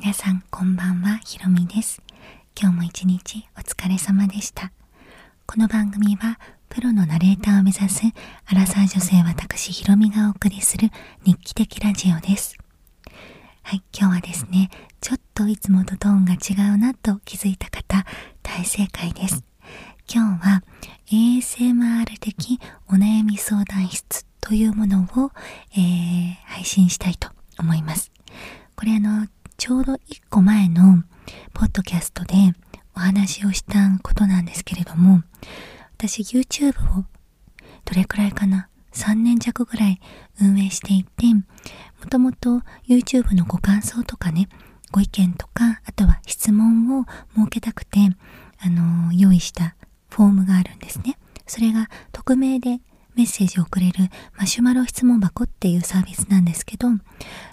皆さんこんばんはひろみです今日も一日お疲れ様でしたこの番組はプロのナレーターを目指すアラサー女性私ひろみがお送りする日記的ラジオですはい今日はですねちょっといつもとトーが違うなと気づいた方大正解です今日は ASMR 的お悩み相談室というものを、配信したいと思いますこれあのちょうど1個前のポッドキャストでお話をしたことなんですけれども私 YouTube をどれくらいかな3年弱ぐらい運営していて。いもともと YouTube のご感想とかねご意見とかあとは質問を設けたくてあの用意したフォームがあるんですねそれが匿名でメッセージをくれるマシュマロ質問箱っていうサービスなんですけど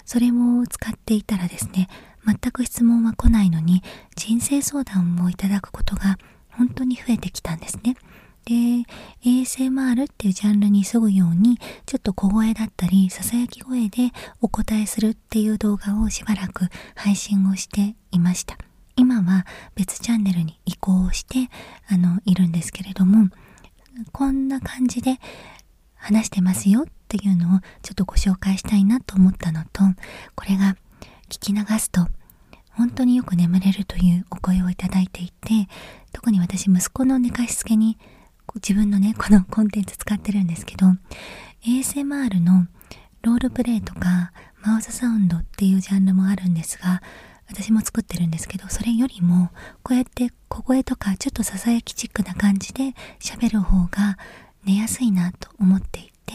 それを使っていたらですね全く質問は来ないのに人生相談をいただくことが本当に増えてきたんですねで a s っていうジャンルにそぐようにちょっと小声だったりさき声でお答えするっていう動画をしばらく配信をしていました今は別チャンネルに移行してあのいるんですけれどもこんな感じで話してますよっていうのをちょっとご紹介したいなと思ったのとこれが聞き流すと本当によく眠れるというお声をいただいていて特に私息子の寝かしつけに自分のねこのコンテンツ使ってるんですけど ASMR のロールプレイとかマウスサウンドっていうジャンルもあるんですが私も作ってるんですけどそれよりもこうやって小声とかちょっとささやきチックな感じで喋る方が寝やすいなと思っていて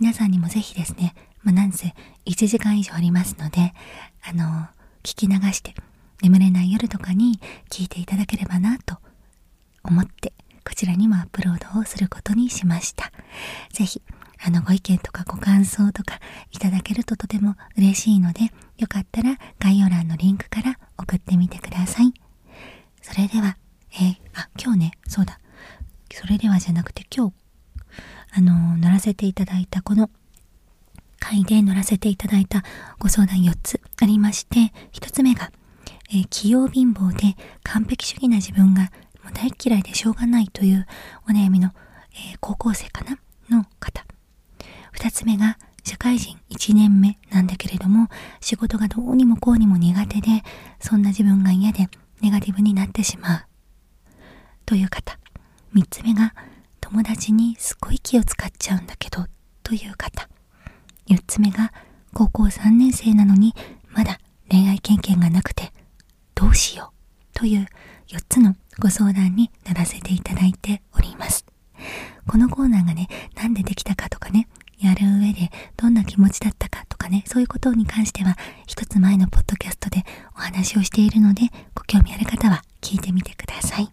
皆さんにも是非ですね、まなんせ1時間以上ありますのであの聞き流して眠れない夜とかに聞いていただければなと思ってこちらにもアップロードをすることにしました。是非あの、ご意見とかご感想とかいただけるととても嬉しいので、よかったら概要欄のリンクから送ってみてください。それでは、えー、あ、今日ね、そうだ。それではじゃなくて今日、あの乗らせていただいたこの会で乗らせていただいたご相談4つありまして1つ目が、えー、器用貧乏で完璧主義な自分がもう大っ嫌いでしょうがないというお悩みの、え高校生かなの方2つ目が社会人1年目なんだけれども仕事がどうにもこうにも苦手でそんな自分が嫌でネガティブになってしまうという方3つ目が友達にすっごい気を使っちゃうんだけどという方4つ目が高校3年生なのにまだ恋愛経験がなくてどうしようという4つのご相談にならせていただいておりますこのコーナーがね何でできたかとかねやる上でどんな気持ちだったかとかねそういうことに関しては一つ前のポッドキャストでお話をしているのでご興味ある方は聞いてみてください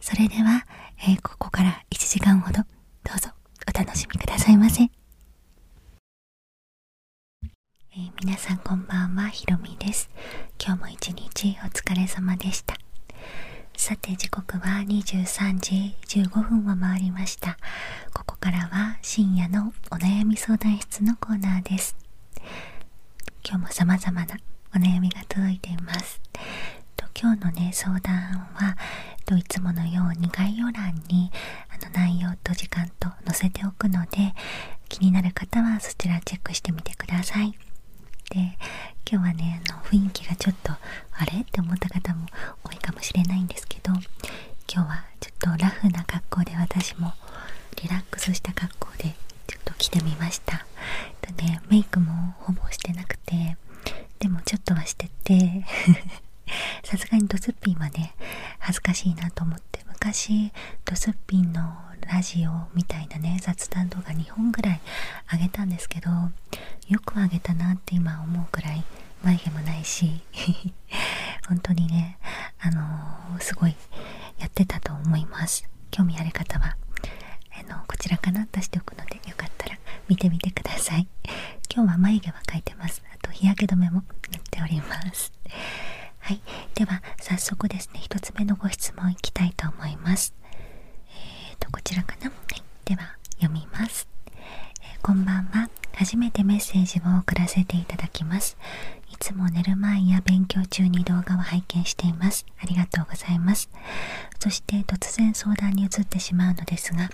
それでは、えここから1時間ほどどうぞお楽しみくださいませ、え皆さんこんばんはひろみです今日も一日お疲れ様でしたさて時刻は23時15分を回りましたここからは深夜のお悩み相談室のコーナーです今日も様々なお悩みが届いています今日のね相談はといつものように概要欄にあの内容と時間と載せておくので気になる方はそちらチェックしてみてくださいで今日はねあの雰囲気がちょっとあれって思った方も多いかもしれないんですけど今日はちょっとラフな格好で私もリラックスした格好でちょっと着てみましたとメイクもほぼしてなくてでもちょっとはしてて さすがにドスッピンはね恥ずかしいなと思って昔ドスッピンのラジオみたいなね雑談動画2本ぐらいあげたんですけどよくあげたなって今思うくらい眉毛もないし 本当にねあのすごいやってたと思います興味ある方はあのこちらから出しておくのでよかったら見てみてください 今日は眉毛は描いてますあと日焼け止めも塗っております はいでは早速ですね1つ目のご質問いきたいと思いますえーとこちらかな、では読みます、こんばんは初めてメッセージを送らせていただきますいつも寝る前や勉強中に動画を拝見していますありがとうございますそして突然相談に移ってしまうのですが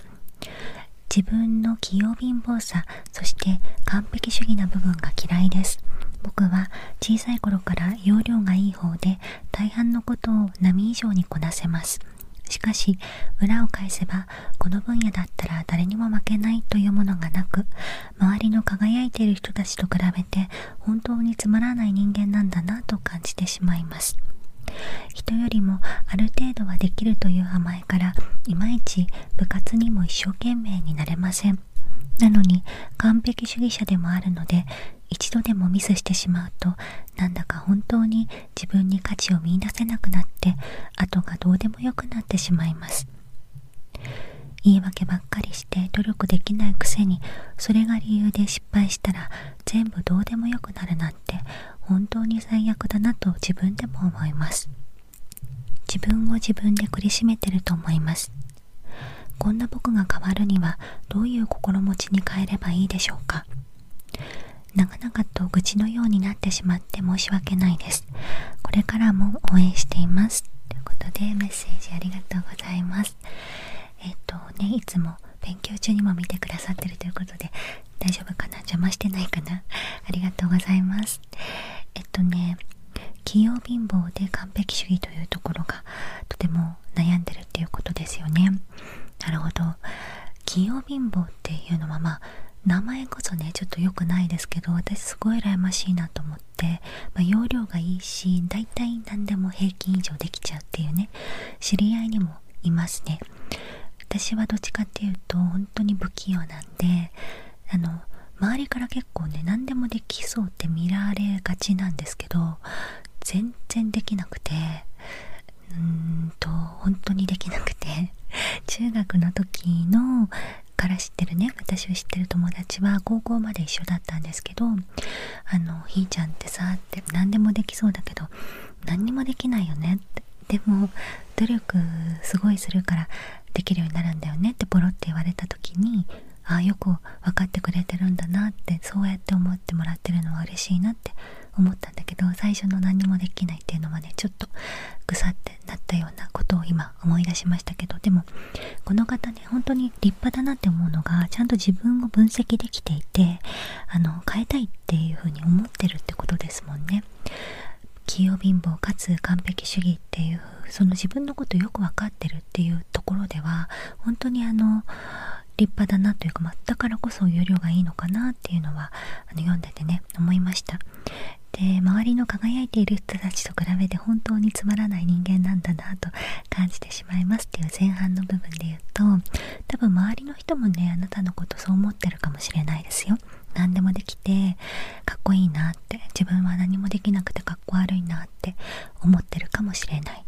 自分の器用貧乏さそして完璧主義な部分が嫌いです僕は小さい頃から容量がいい方で大半のことを波以上にこなせますしかし裏を返せばこの分野だったら誰にも負けないというものがなく周りの輝いている人たちと比べて本当につまらない人間なんだなと感じてしまいます人よりもある程度はできるという甘えからいまいち部活にも一生懸命になれませんなのに完璧主義者でもあるので一度でもミスしてしまうとなんだか本当に自分に価値を見いだせなくなって後がどうでもよくなってしまいます言い訳ばっかりして努力できないくせにそれが理由で失敗したら全部どうでもよくなるなんて本当に最悪だなと自分でも思います自分を自分で苦しめてると思いますこんな僕が変わるにはどういう心持ちに変えればいいでしょうか長々と愚痴のようになってしまって申し訳ないですこれからも応援していますということでメッセージありがとうございますえっ、とねいつも勉強中にも見てくださってるということで大丈夫かな邪魔してないかなありがとうございますえっとね器用貧乏で完璧主義というところがとても悩んでるっていうことですよねなるほど器用貧乏っていうのはまあ名前こそねちょっと良くないですけど私すごい羨ましいなと思ってま容量がいいし大体何でも平均以上できちゃうっていうね知り合いにもいますね私はどっちかっていうと本当に不器用なんであの周りから結構ね何でもできそうって見られがちなんですけど全然できなくてうーんと本当にできなくて 中学の時のから知ってるね私を知ってる友達は高校まで一緒だったんですけどあのひーちゃんってさって何でもできそうだけど何にもできないよねってでも努力すごいするからできるようになるんだよねってポロって言われた時にああよく分かってくれてるんだなってそうやって思ってもらってるのは嬉しいなって思ったんだけど最初の何にもできないっていうのはねちょっとぐさってなったようなことを今思い出しましたけどでもこの方ね本当に立立派だなって思うのがちゃんと自分を分析できていてあの変えたいっていうふうに思ってるってこですもんね。器用貧乏かつ完璧主義っていうその自分のことよく分かってるっていうところでは本当にあの立派だなというか、まあ、だからこそ要領がいいのかなっていうのはあの読んでてね思いました。で周りの輝いている人たちと比べて本当につまらない人間なんだなと感じてしまいますっていう前半の部分で言うと多分周りの人もねあなたのことそう思ってるかもしれないですよ。何でもできてかっこいいなって自分は何もできなくてかっこ悪いなって思ってるかもしれない。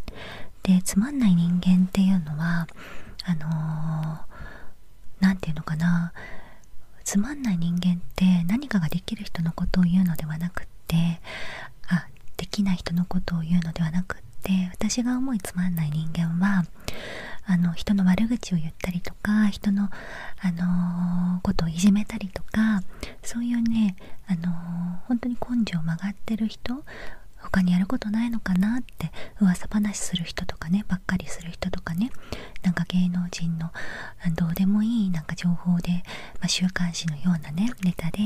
でつまんない人間っていうのはあの何、て言うのかなつまんない人間って何かができる人のことを言うのではなくってあできない人のことを言うのではなくって私が思いつまんない人間はあの人の悪口を言ったりとか人の、あのことをいじめたりとかそういうね、あの本当に根性を曲がってる人他にやることないのかなって噂話する人とかねばっかりする人とかねなんか芸能人のどうでもいいなんか情報でま週刊誌のようなねネタで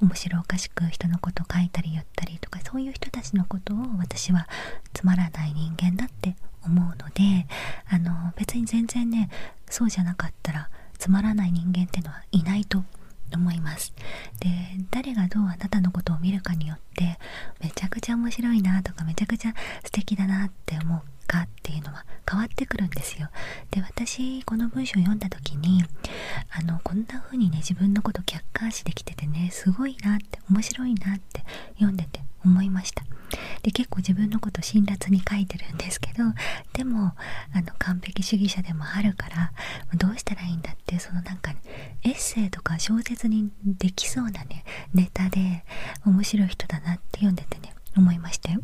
面白おかしく人のこと書いたり言ったりとかそういう人たちのことを私はつまらない人間だって思うのであの別に全然ねそうじゃなかったらつまらない人間ってのはいないと思いますで誰がどうあなたのことを見るかによってめちゃくちゃ面白いなとかめちゃくちゃ素敵だなって思うかっていうのは変わってくるんですよ私この文章を読んだ時にこんな風にね自分のこと客観視できててねすごいなって面白いなって読んでて思いました結構自分のこと辛辣に書いてるんですけどでも完璧主義者でもあるからどうしたらいいんだってそのなか、エッセイとか小説にできそうなネタで面白い人だなって読んでてね思いましたよ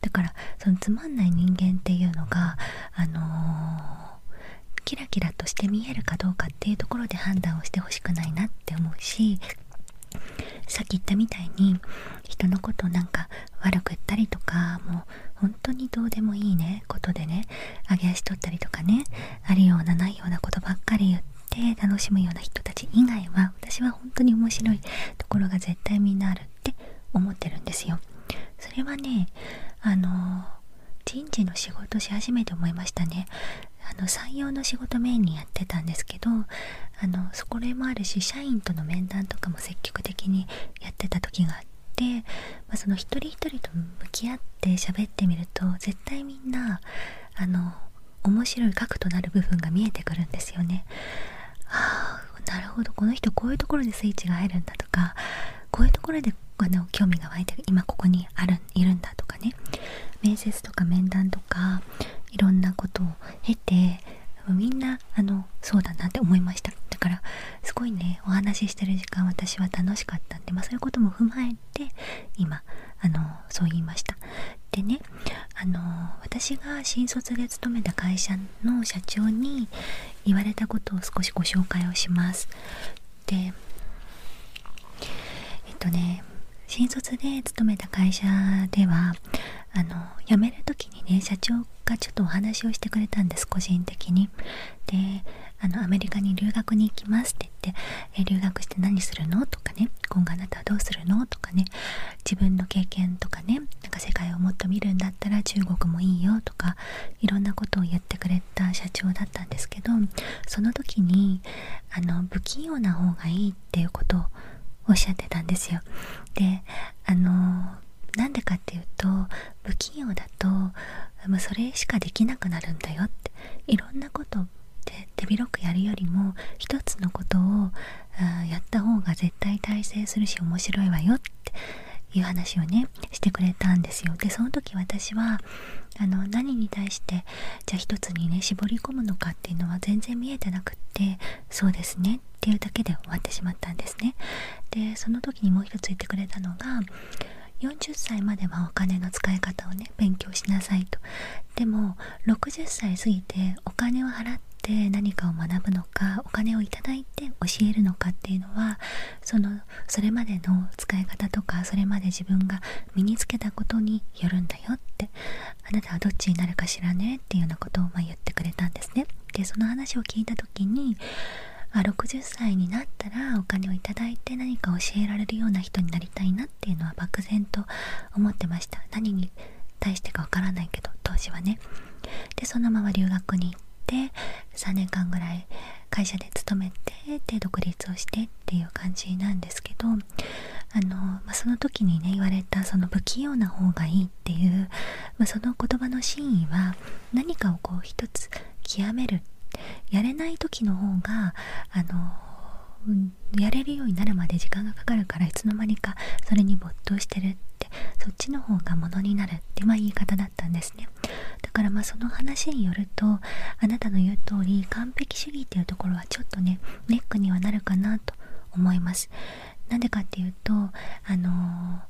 だからつまんない人間っていうのがあのキラキラとして見えるかどうかっていうところで判断をしてほしくないなって思うしさっき言ったみたいに人のことなんか悪く言ったりとかもう本当にどうでもいいねことでね上げ足取ったりとかねあるようなないようなことばっかり言って。楽しむような人たち以外は私は本当に面白いところが絶対みんなあるって思ってるんですよ。それはねあの人事の仕事し始めて思いましたね。あの採用の仕事メインにやってたんですけどあのそこれもあるし社員との面談とかも積極的にやってた時があって、まその一人一人と向き合って喋ってみると絶対みんなあの面白い核となる部分が見えてくるんですよね。なるほどこの人こういうところでスイッチが入るんだとかこういうところであの興味が湧いて今ここにあるいるんだとかね面接とか面談とかいろんなことを経てみんなあのそうだなって思いましただからすごいねお話ししてる時間私は楽しかったんで、まそういうことも踏まえて今あのそう言いましたでねあの私が新卒で勤めた会社の社長に言われたことを少しご紹介をします。でえっとね新卒で勤めた会社ではあの辞める時にね社長がちょっとお話をしてくれたんです個人的に。であのアメリカに留学に行きますって言って「え留学して何するの?」とかね「今後あなたはどうするの?」とかね自分の経験とかねなんか世界をもっと見るんだったら中国もいいよとかいろんなことをやってくれた社長だったんですけどその時にあの不器用な方がいいっていうことをおっしゃってたんですよ。であのなんでかっていうと不器用だともそれしかできなくなるんだよっていろんなことって手広くやるよりも一つのことをやった方が絶対耐性するし面白いわよってっていう話をねしてくれたんですよでその時私はあの何に対してじゃあ一つにね絞り込むのかっていうのは全然見えてなくってそうですねっていうだけで終わってしまったんですねでその時にもう一つ言ってくれたのが40歳まではお金の使い方をね勉強しなさいとでも60歳過ぎてお金を払って何かを学ぶのかお金をいただいて教えるのかっていうのはそのそれまでの使い方とかそれまで自分が身につけたことによるんだよってあなたはどっちになるかしらねっていうようなことをま言ってくれたんですね。でその話を聞いた時にあ60歳になったらお金をいただいて何か教えられるような人になりたいなっていうのは漠然と思ってました何に対してかわからないけど当時はねでそのまま留学にに3年間ぐらい会社で勤めてで独立をしてっていう感じなんですけどあの、まあ、その時にね言われたその不器用な方がいいっていう、まあ、その言葉の真意は何かをこう一つ極めるやれない時の方があのやれるようになるまで時間がかかるからいつの間にかそれに没頭してるってそっちの方がものになるってまあ言い方だったんですねだからまあその話によるとあなたの言う通り完璧主義っていうところはちょっとねネックにはなるかなと思いますなんでかっていうとあの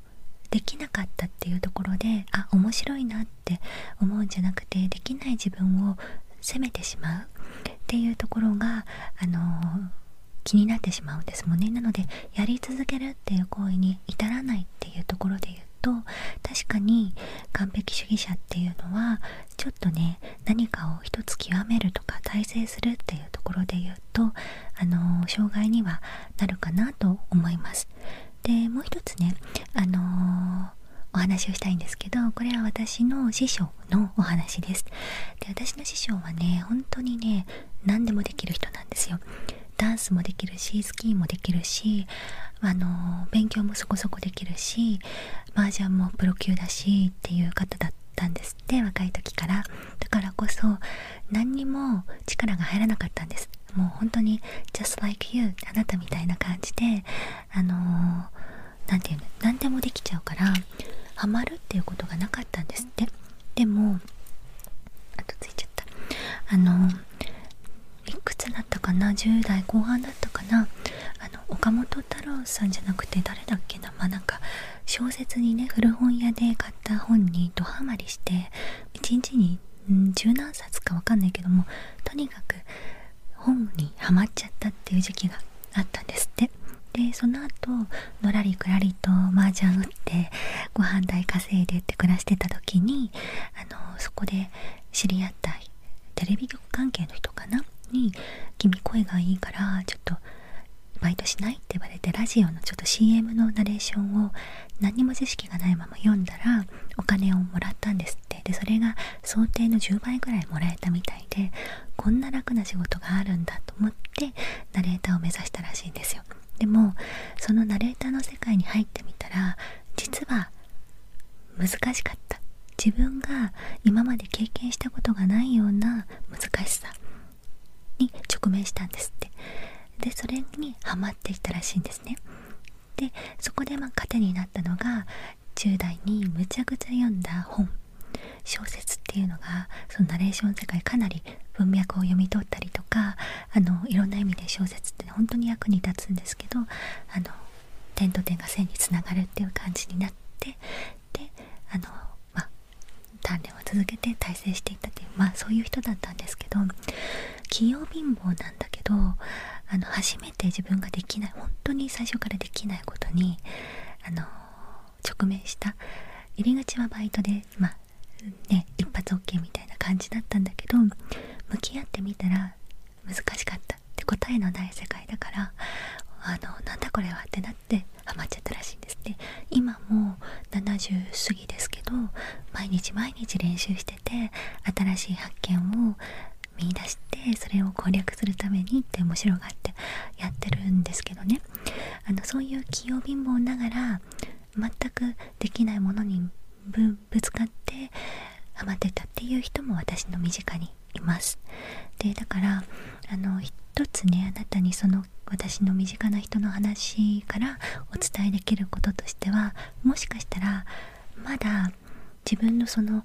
できなかったっていうところであ面白いなって思うんじゃなくてできない自分を責めてしまうっていうところが、あの気になってしまうんですもんねなのでやり続けるっていう行為に至らっていうところで言うと確かに完璧主義者っていうのはちょっとね何かを一つ極めるとか大成するっていうところで言うとあの障害にはなるかなと思います。でもう一つねあのお話をしたいんですけどこれは私の師匠のお話ですで私の師匠はね本当にね何でもできる人なんですよダンスもできるしスキーもできるしあの勉強もそこそこできるし麻雀もプロ級だしっていう方だったんですって若い時からだからこそ何にも力が入らなかったんですもう本当に「just like you」あなたみたいな感じであの何て言うの何でもできちゃうからハマるっていうことがなかったんですってでもあとついちゃうあのいくつだったかな10代後半だったかなあの岡本太郎さんじゃなくて誰だっけなまあなんか小説にね古本屋で買った本にドハマりして1日に十何冊かわかんないけどもとにかく本にはまっちゃったっていう時期があったんですってでその後のらりくらりと麻雀打ってご飯代考稼いでって暮らしてた時にあのそこで知り合ったテレビ局関係の人かなに「君声がいいからちょっとバイトしない?」って言われてラジオのちょっと CM のナレーションを何にも知識がないまま読んだらお金をもらったんですってでそれが想定の10倍ぐらいもらえたみたいでこんな楽な仕事があるんだと思ってナレーターを目指したらしいんですよ。でもそのナレーターの世界に入ってみたら実は難しかった自分が今まで経験したことがないような難しさに直面したんですってでそれにハマってきたらしいんですねでそこでま糧になったのが10代にむちゃくちゃ読んだ本小説っていうのがそのナレーション世界かなり文脈を読み取ったりとかあのいろんな意味で小説って、本当に役に立つんですけどあの点と点が線につながるっていう感じになってであの、ま鍛錬を続けて大成していったっいう、まあ、そういう人だったんですけど器用貧乏なんだけどあの初めて自分ができない本当に最初からできないことにあの直面した入り口はバイトで、一発 OK みたいな感じだったんだけど向き合ってみたら難しかったって答えのない世界だからあなんだこれはってなってハマっちゃったらしいんですって、今もう70過ぎですけど毎日毎日練習してて新しい発見を見出してそれを攻略するためにって面白がってやってるんですけどねそういう器用貧乏ながら全くできないものにぶつかってハマってたっていう人も私の身近にいますでだからあの一つねあなたにその私の身近な人の話からお伝えできることとしてはもしかしたらまだ自分のその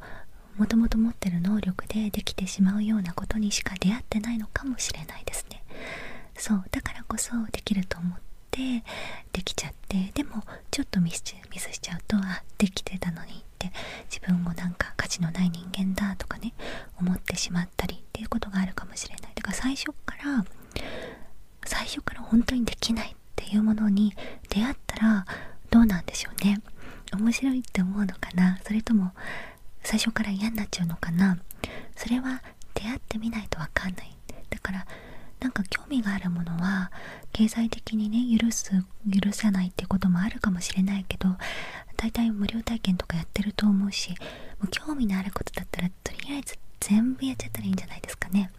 もともと持ってる能力でできてしまうようなことにしか出会ってないのかもしれないですねそうだからこそできるとっできちゃってでもちょっとミスしちゃうとあできてたのにって自分もなんか価値のない人間だとかね思ってしまったりっていうことがあるかもしれないだか最初から最初から本当にできないっていうものに出会ったらどうなんでしょうね面白いって思うのかなそれとも最初から嫌になっちゃうのかなそれは出会ってみないと分かんないだからなんか興味があるものは経済的にね許す許さないってこともあるかもしれないけど大体無料体験とかやってると思うしもう興味のあることだったらとりあえず全部やっちゃったらいいんじゃないですかね。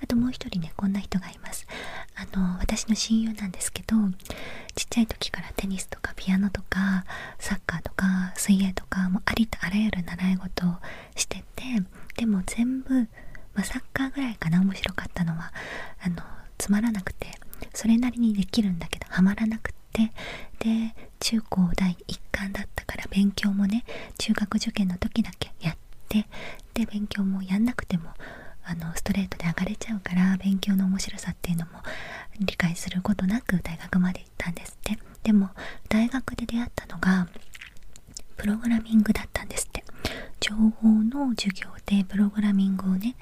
あともう一人ねこんな人がいますあの私の親友なんですけどちっちゃい時からテニスとかピアノとかサッカーとか水泳とかもありとあらゆる習い事をしててでも全部、まサッカーぐらいかな面白かったのはあのつまらなくてそれなりにできるんだけどハマらなくってで中高第1貫だったから勉強もね中学受験の時だけやってで勉強もやんなくてもあのストレートで上がれちゃうから勉強の面白さっていうのも理解することなく大学まで行ったんですってでも大学で出会ったのがプログラミングだったんですって情報の授業でプログラミングをね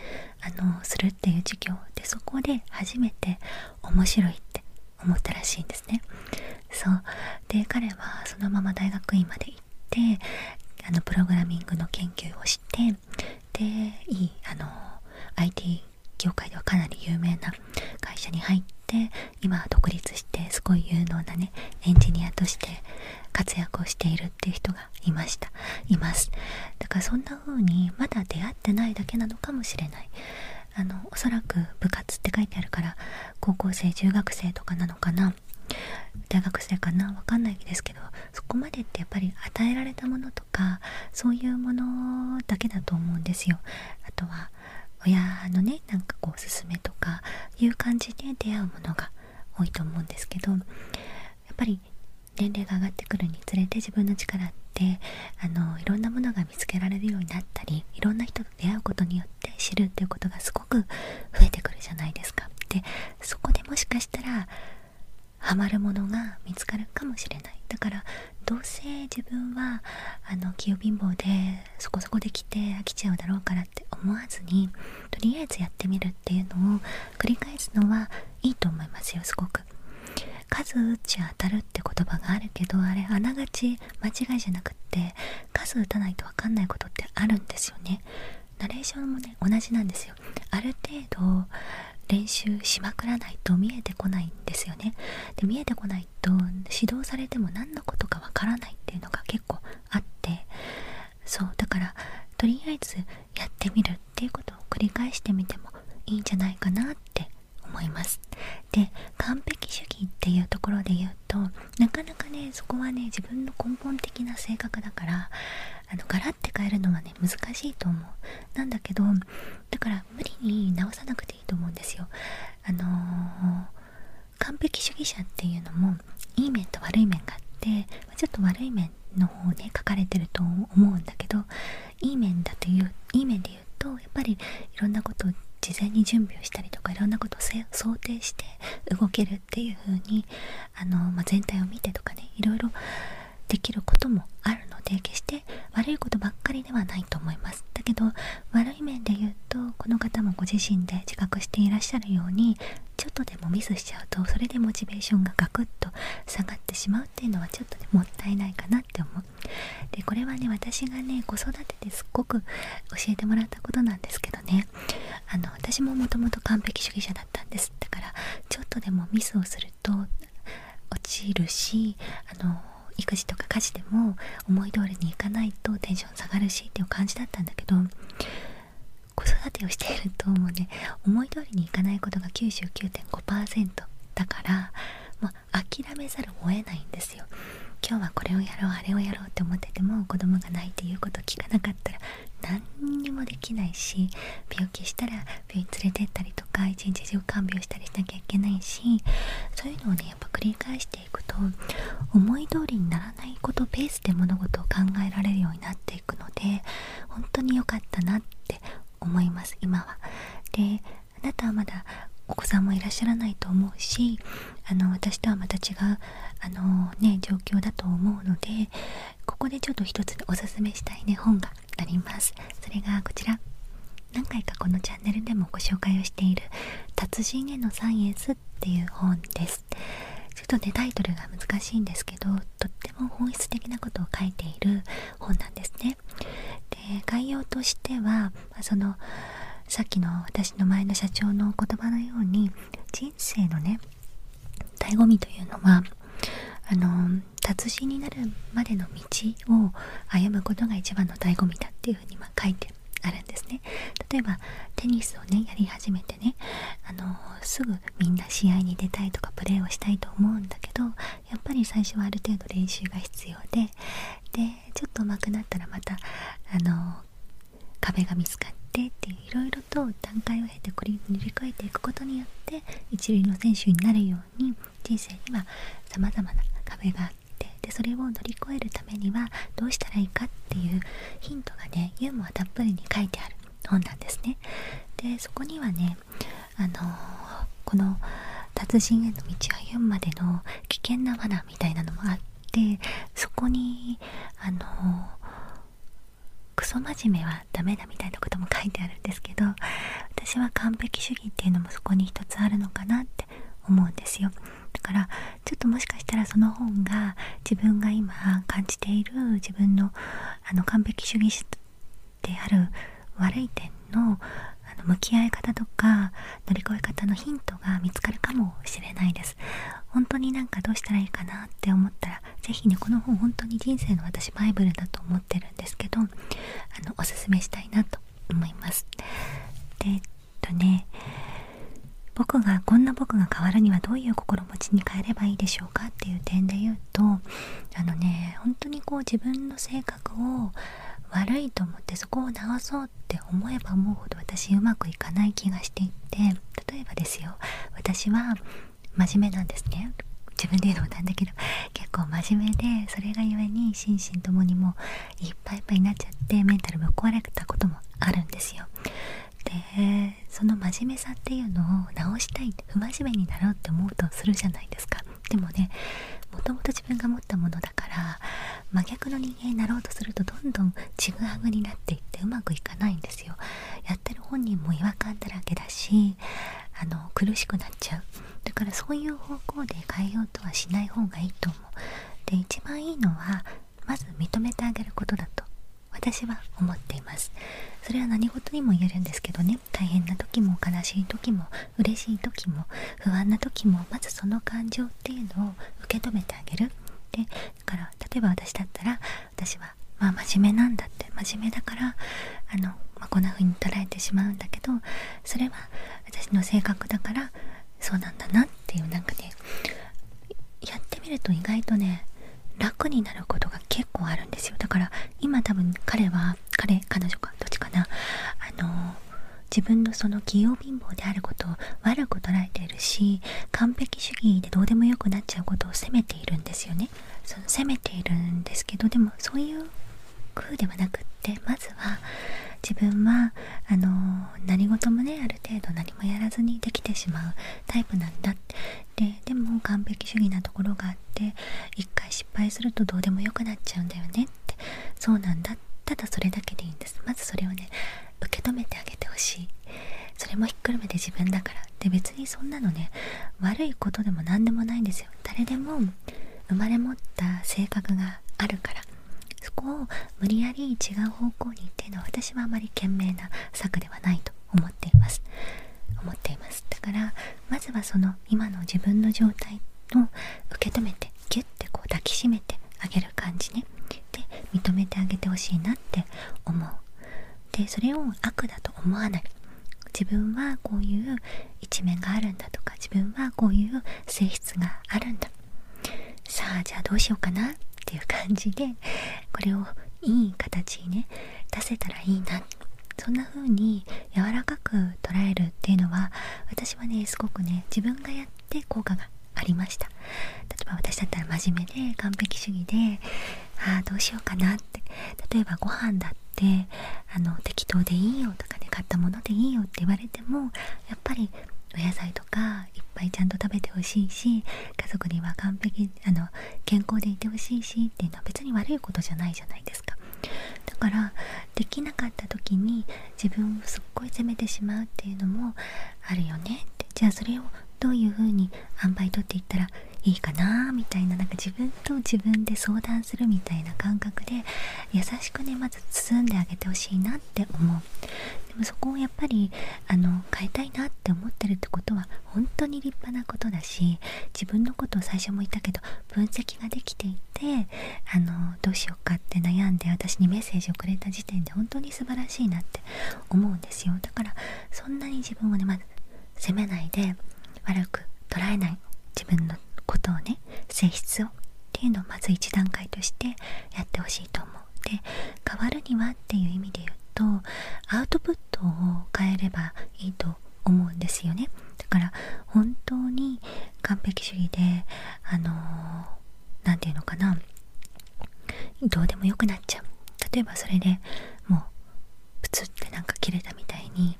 あのするっていう授業でそこで初めて面白いって思ったらしいんですねそうで彼はそのまま大学院まで行ってあのプログラミングの研究をしてでいいあの IT 業界ではかなり有名な会社に入って今は独立してすごい有能なねエンジニアとして活躍をしているっていう人がいましたいますだからそんな風にまだ出会ってないだけなのかもしれないあのおそらく部活って書いてあるから高校生中学生とかなのかな大学生かなわかんないですけどそこまでってやっぱり与えられたものとかそういうものだけだと思うんですよあとは親のねなんかこうおすすめとかいう感じで出会うものが多いと思うんですけどやっぱり年齢が上がってくるにつれて自分の力ってあのいろんなものが見つけられるようになったりいろんな人と出会うことによって知るっていうことがすごく増えてくるじゃないですか。でそこでもしかしたらハマるものが見つかるかもしれないだからどうせ自分はあの器貧乏でそこそこできて飽きちゃうだろうからって思わずにとりあえずやってみるっていうのを繰り返すのはいいと思いますよすごく。数打ち当たるって言葉があるけどあれあながち間違いじゃなくって数打たないと分かんないことってあるんですよね。ナレーションもね同じなんですよ。ある程度練習しまくらないと見えてこないんですよね。で見えてと指導されても何のことかわからないっていうのが結構あってそうだからとりあえずやってみるっていうことを繰り返してみてもいいんじゃないかなって思いますで完璧主義っていうところで言うとなかなかねそこはね自分の根本的な性格だからあのガラッて変えるのはね難しいと思うなんだけどだから無理に直さなくていいと思うんですよあの完璧主義者っていうのもいい面と悪い面があってちょっと悪い面の方ね書かれてると思うんだけどいい面だといういい面で言うとやっぱりいろんなことを事前に準備をしたりとかいろんなことを想定して動けるっていう風にあのま全体を見てとかねいろいろできることもあるので決して悪いことばっかりではないと思いますだけど悪面で言うとこの方もご自身で自覚していらっしゃるようにちょっとでもミスしちゃうとそれでモチベーションがガクッと下がってしまうっていうのはちょっと、ね、もったいないかなって思うでこれはね私がね子育てですっごく教えてもらったことなんですけどねあの私ももともと完璧主義者だったんですだからちょっとでもミスをすると落ちるしあの育児とか家事でも思い通りにいかないとテンション下がるしっていう感じだったんだけど子育てをしているともうね思い通りにいかないことが99.5%だから、まあ、諦めざるを得ないんですよ。今日はこれをやろうあれをやろうって思ってても子供が泣いて言うこと聞かなかったら何にもできないし病気したら病院連れてったりとか一日中看病したりしなきゃいけないしそういうのをねやっぱ繰り返していいてことなていくと思い通りにならないことペースで物事を考えられるようになっていくので本当に良かったなって思います今は。であなたはまだお子さんもいらっしゃらないと思うしあの私とはまた違うあの、ね、状況だと思うのでここでちょっと一つおすすめしたい、ね、本があります。それがこちら何回かチャンネルでもご紹介をしている「達人へのサイエンス」っていう本ですちょっとねタイトルが難しいんですけどとっても本質的なことを書いている本なんですねで概要としてはそのさっきの私の前の社長の言葉のように人生のね醍醐味というのはあの達人になるまでの道を歩むことが一番の醍醐味だっていうふうにま書いてあるんですね例えばテニスをねやり始めてねあのすぐみんな試合に出たいとかプレーをしたいと思うんだけどやっぱり最初はある程度練習が必要ででちょっと上手くなったらまたあの壁が見つかってっていろいろと段階を経てこれ塗り替えていくことによって一流の選手になるように人生にはさまざまな壁がでそれを乗り越えるためにはどうしたらいいかっていうヒントがねユーモアたっぷりに書いてある本なんですね。でそこにはねあのこの達人への道を歩むまでの危険な罠みたいなのもあってそこにあのクソ真面目はダメだみたいなことも書いてあるんですけど私は完璧主義っていうのもそこに一つあるのかなって思うんですよだからちょっともしかしたらその本が自分が今感じている自分のあの完璧主義である悪い点のあの向き合い方とか乗り越え方のヒントが見つかるかもしれないです本当になんかどうしたらいいかなって思ったら是非ねこの本本当に人生の私バイブルだと思ってるんですけどあのおすすめしたいなと思いますとね僕がこんな僕が変わるにはどういう心持ちに変えればいいでしょうかっていう点で言うとあのね本当にこう自分の性格を悪いと思ってそこを直そうって思えば思うほど私うまくいかない気がしていて例えばですよ私は真面目なんですね自分で言うのもなんだけど結構真面目でそれがゆえに心身ともにもいっぱいいっぱいになっちゃってメンタルぶ壊れたこともあるんですよでその真面目さっていうのを直したい不真面目になろうって思うとするじゃないですかでもねもともと自分が持ったものだから真逆の人間になろうとするとどんどんちぐはぐになっていってうまくいかないんですよやってる本人も違和感だらけだしあの苦しくなっちゃうだからそういう方向で変えようとはしない方がいいと思うで一番いいのはまず認めてあげることだと私は思っていますそれは何事にも言えるんですけどね大変な時も悲しい時も嬉しい時も不安な時もまずその感情っていうのを受け止めてあげるでだから例えば私だったら私はまあ真面目なんだって真面目だからあの、まこんな風に捉えてしまうんだけどそれは私の性格だからそうなんだなっっていうなんかねやってみると意外とね楽になることが結構あるんですよだから今多分彼は彼彼女かどっちかなあの自分のその器用貧乏であることを悪く捉えているし完璧主義でどうでもよくなっちゃうことを責めているんですよねその責めているんですけどでもそういう風ではなくってまずは自分はあの何事もねある程度何もやらずにできてしまうタイプなんだってででも完璧主義なところがあって一回失敗するとどうでもよくなっちゃうんだよねってそうなんだただそれだけでいいんですまずそれをね受け止めてあげてほしいそれもひっくるめて自分だからで別にそんなのね悪いことでも何でもないんですよ誰でも生まれ持った性格があるからそこを無理やり違う方向にっていうのは私はあまり賢明な策ではないと思っています思っていますだからまずはその今の自分の状態を受け止めてギュッてこう抱きしめてあげる感じねで認めてあげてほしいなって思うでそれを悪だと思わない自分はこういう一面があるんだとか自分はこういう性質があるんださあじゃあどうしようかなっていう感じでこれをいい形にね出せたらいいなそんな風に柔らかく捉えるっていうのは私はねすごくね自分がやって効果がありました例えば私だったら真面目で完璧主義でああどうしようかなって例えばご飯だってあの適当でいいよとかね買ったものでいいよって言われてもやっぱりお野菜とかいっぱいちゃんと食べてほしいし家族には完璧あの健康でいてほしいしっていうのは別に悪いことじゃないじゃないですかだからできなかった時に自分をすっごい責めてしまうっていうのもあるよねってじゃあそれをどういう風に塩梅取っていったらいいかなみたいななんか自分と自分で相談するみたいな感覚で優しくねまず包んであげてほしいなって思うでもそこをやっぱりあの変えたいなって思ってるってことは本当に立派なことだし自分のことを最初も言ったけど分析ができていてあのどうしようかって悩んで私にメッセージをくれた時点で本当に素晴らしいなって思うんですよだからそんなに自分をねまず責めないで悪く捉えない自分のことをね性質をっていうのをまず一段階としてやってほしいと思う。で変わるにはっていう意味で言うとアウトプットを変えればいいと思うんですよねだから本当に完璧主義であの何、て言うのかなどうでもよくなっちゃう例えばそれでもうプツってなんか切れたみたいに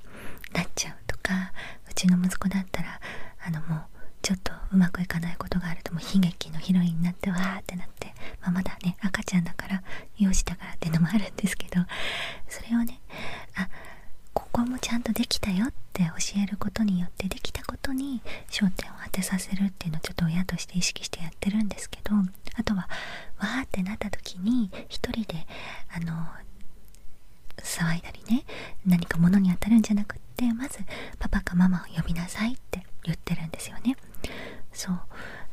なっちゃうとかうちの息子だったらあのもうちょっとうまくいかないことがあるとも悲劇のヒロインになってわーってなって、ままだね赤ちゃんだから幼児だからっていうのもあるんですけどそれをねあここもちゃんとできたよって教えることによってできたことに焦点を当てさせるっていうのをちょっと親として意識してやってるんですけどあとはわーってなった時に一人であの騒いだりね何か物に当たるんじゃなくってまずパパかママを呼びなさいって言ってるんですよねそう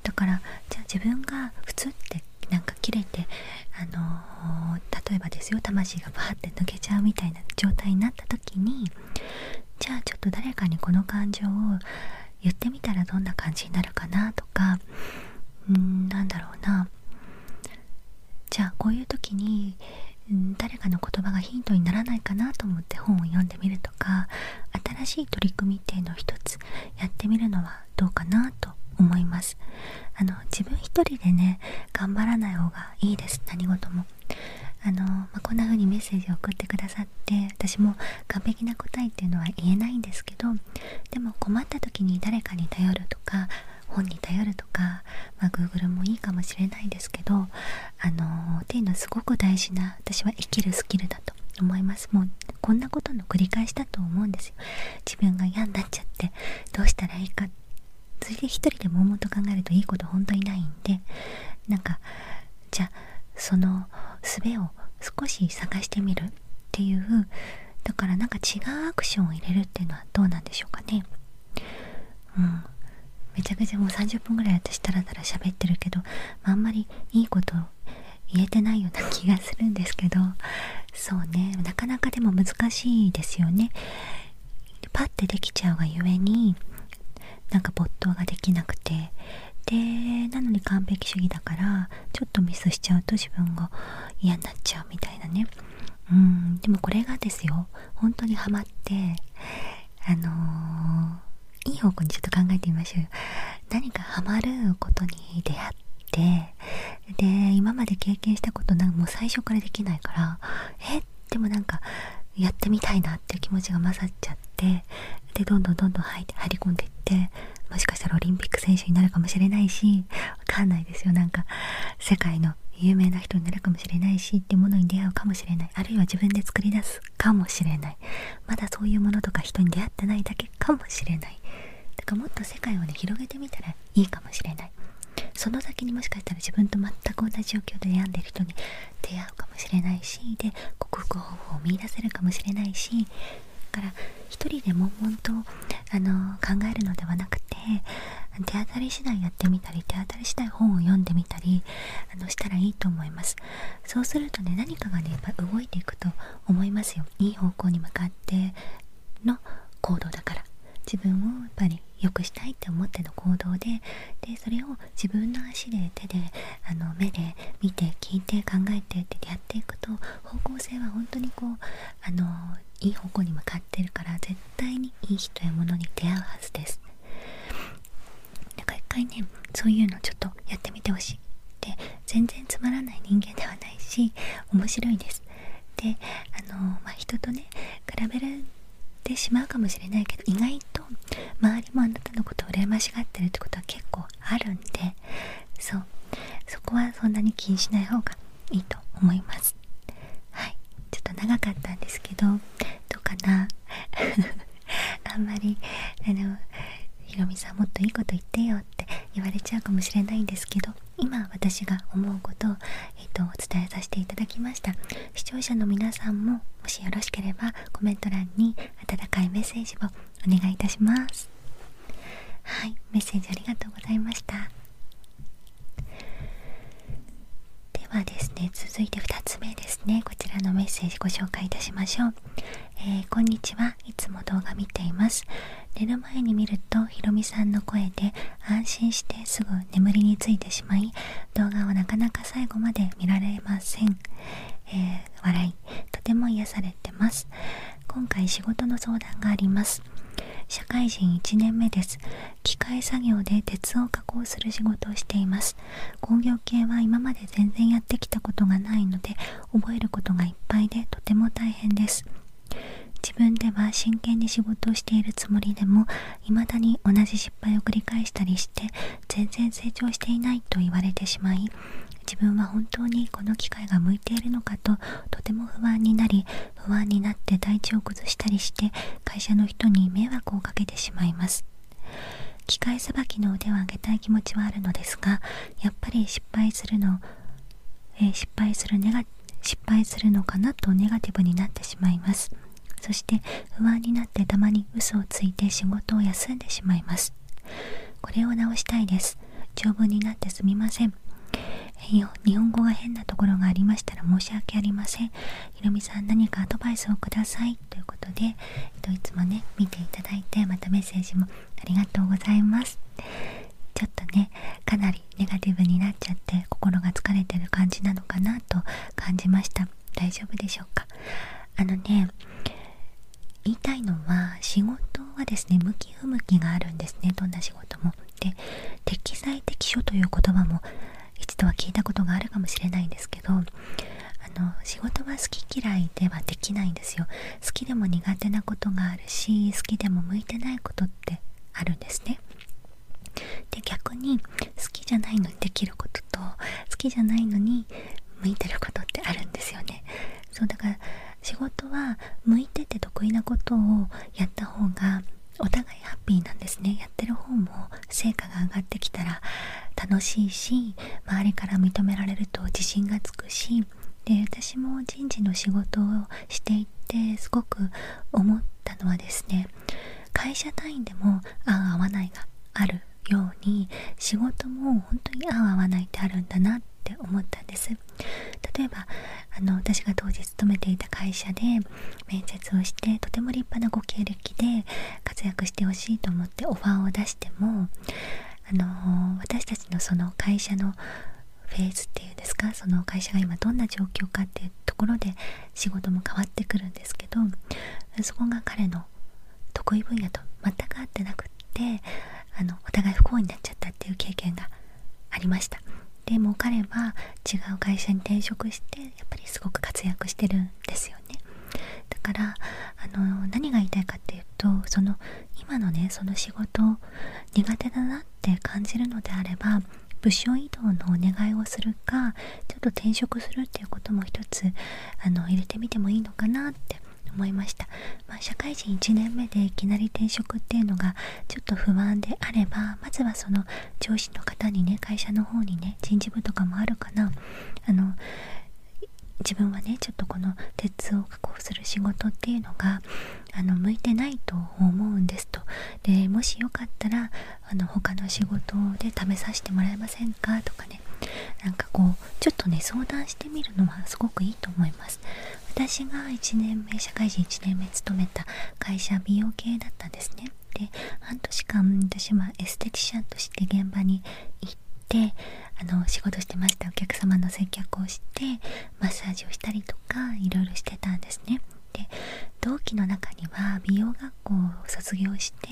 だからじゃあ自分が普通ってなんか切れてあの例えばですよ魂がバーって抜けちゃうみたいな状態になった時にじゃあちょっと誰かにこの感情を言ってみたらどんな感じになるかなとかんーなんだろうなじゃあこういう時に誰かの言葉がヒントにならないかなと思って本を読んでみるとか新しい取り組みっていうのを一つやってみるのはどうかなと思いますあの自分一人でね頑張らない方がいいです何事もあの、こんな風にメッセージを送ってくださって私も完璧な答えっていうのは言えないんですけどでも困った時に誰かに頼るとか本に頼るとか、まあ、Google もいいかもしれないですけどあのっていうのはすごく大事な私は生きるスキルだと思いますもうこんなことの繰り返しだと思うんですよ自分が嫌になっちゃってどうしたらいいかそれで一人で悶々と考えるといいこと本当にないんでなんかじゃあその術を少し探してみるっていうだからなんか違うアクションを入れるっていうのはどうなんでしょうかねうんめちゃくちゃもう30分ぐらい私タらタラ喋ってるけど、まあ、あんまりいいこと言えてないような気がするんですけどそうねなかなかでも難しいですよね。パッてできちゃうがゆえになんか没頭ができなくてでなのに完璧主義だからちょっとミスしちゃうと自分が嫌になっちゃうみたいなねうんでもこれがですよ本当にハマってあのいい方向にちょっと考えてみましょう何かハマることに出会ってで今まで経験したことなんかもう最初からできないからえでもなんかやってみたいなっていう気持ちが混ざっちゃってでどんどんどんどん入ってり込んでいってもしかしたらオリンピック選手になるかもしれないしわかんないですよなんか世界の有名な人になるかもしれないしってものに出会うかもしれないあるいは自分で作り出すかもしれないまだそういうものとか人に出会ってないだけかもしれないだからもっと世界をね広げてみたらいいかもしれないその先にもしかしたら自分と全く同じ状況で悩んでる人に出会うかもしれないしで克服方法を見いだせるかもしれないしだから一人で悶々とあの考えるのではなくて手当たり次第やってみたり手当たり次第本を読んでみたりあのしたらいいと思います。そうするとね何かがねやっぱ動いていくと思いますよいい方向に向かっての行動だから自分をやっぱり良くしたいって思っての行動ででそれを自分の足で手であの目で見て聞いて考えてってやっていくと方向性は本当にこうあのいい方向に向かってるから絶対にいい人やものに出会うはずですなんか一回ねそういうのちょっとやってみてほしいって全然つまらない人間ではないし面白いですであのまあ人とね比べられてしまうかもしれないけど意外と周りもあなたのことを羨ましがってるってことは結構あるんでそうそこはそんなに気にしない方がいいと思いますはいちょっと長かったんですけどどうかな あんまりあのひろみさんもっといいこと言ってよって言われちゃうかもしれないんですけど今私が思うことを、えっと、お伝えさせていただきました視聴者の皆さんももしよろしければコメント欄に温かいメッセージをお願いいたしますはいメッセージありがとうございましたではですね続いて2つ目ですねこちらのメッセージご紹介いたしましょう、えこんにちはいつも動画見ています寝る前に見るとひろみさんの声で安心してすぐ眠りについてしまい動画はなかなか最後まで見られません、えー、笑いとても癒されてます今回仕事の相談があります社会人1年目です機械作業で鉄を加工する仕事をしています工業系は今まで全然やってきたことがないので覚えることがいっぱいでとても大変です自分では真剣に仕事をしているつもりでも未だに同じ失敗を繰り返したりして全然成長していないと言われてしまい自分は本当にこの機会が向いているのかととても不安になり不安になって体地を崩したりして会社の人に迷惑をかけてしまいます機械さばきの腕を上げたい気持ちはあるのですがやっぱり失敗するの、え失敗するネガ失敗するのかなとネガティブになってしまいますそして不安になってたまに嘘をついて仕事を休んでしまいますこれを直したいです長文になってすみません日本語が変なところがありましたら申し訳ありませんひろみさん何かアドバイスをくださいということで、えっと、いつもね見ていただいてまたメッセージもありがとうございますちょっとねかなりネガティブになっちゃって心が疲れてる感じなのかなと感じました大丈夫でしょうかあのね言いたいのは仕事はですね向き不向きがあるんですねどんな仕事もで適材適所という言葉も一度は聞いたことがあるかもしれないんですけどあの仕事は好き嫌いではできないんですよ好きでも苦手なことがあるし好きでも向いてないことってあるんですねで逆に好きじゃないのにできることと好きじゃないのに向いてることってあるんですよねそうだから仕事は向いてて得意なことをやった方がお互いハッピーなんですねやってる方も成果が上がってきたら楽しいし周りから認められると自信がつくしで私も人事の仕事をしていてすごく思ったのはですね会社単位でも合う合わないがあるように仕事も本当に合う合わないってあるんだなって思ったんです例えばあの私が当時勤めていた会社で面接をしてとても立派なご経歴で活躍してほしいと思オファーを出しても、あの私たちのその会社のフェーズっていうんですかその会社が今どんな状況かっていうところで仕事も変わってくるんですけどそこが彼の得意分野と全く合ってなくってあのお互い不幸になっちゃったっていう経験がありましたでも彼は違う会社に転職してやっぱりすごく活躍してるんですよねねだからあの何が言いたいかっていうとその今のねその仕事苦手だなって感じるのであれば部署移動のお願いをするかちょっと転職するっていうことも一つあの入れてみてもいいのかなって思いました、ま社会人1年目でいきなり転職っていうのがちょっと不安であればまずはその上司の方にね会社の方にね人事部とかもあるかなあの自分はねちょっとこの鉄を加工する仕事っていうのがあの向いてないと思うんですとでもしよかったらあの他の仕事で試させてもらえませんかとかねなんかこうちょっとね相談してみるのはすごくいいと思います私が1年目社会人1年目勤めた会社美容系だったんですねで半年間私はエステティシャンとして現場に行あの仕事してましたお客様の接客をしてマッサージをしたりとかいろしてたんですねで同期の中には美容学校を卒業して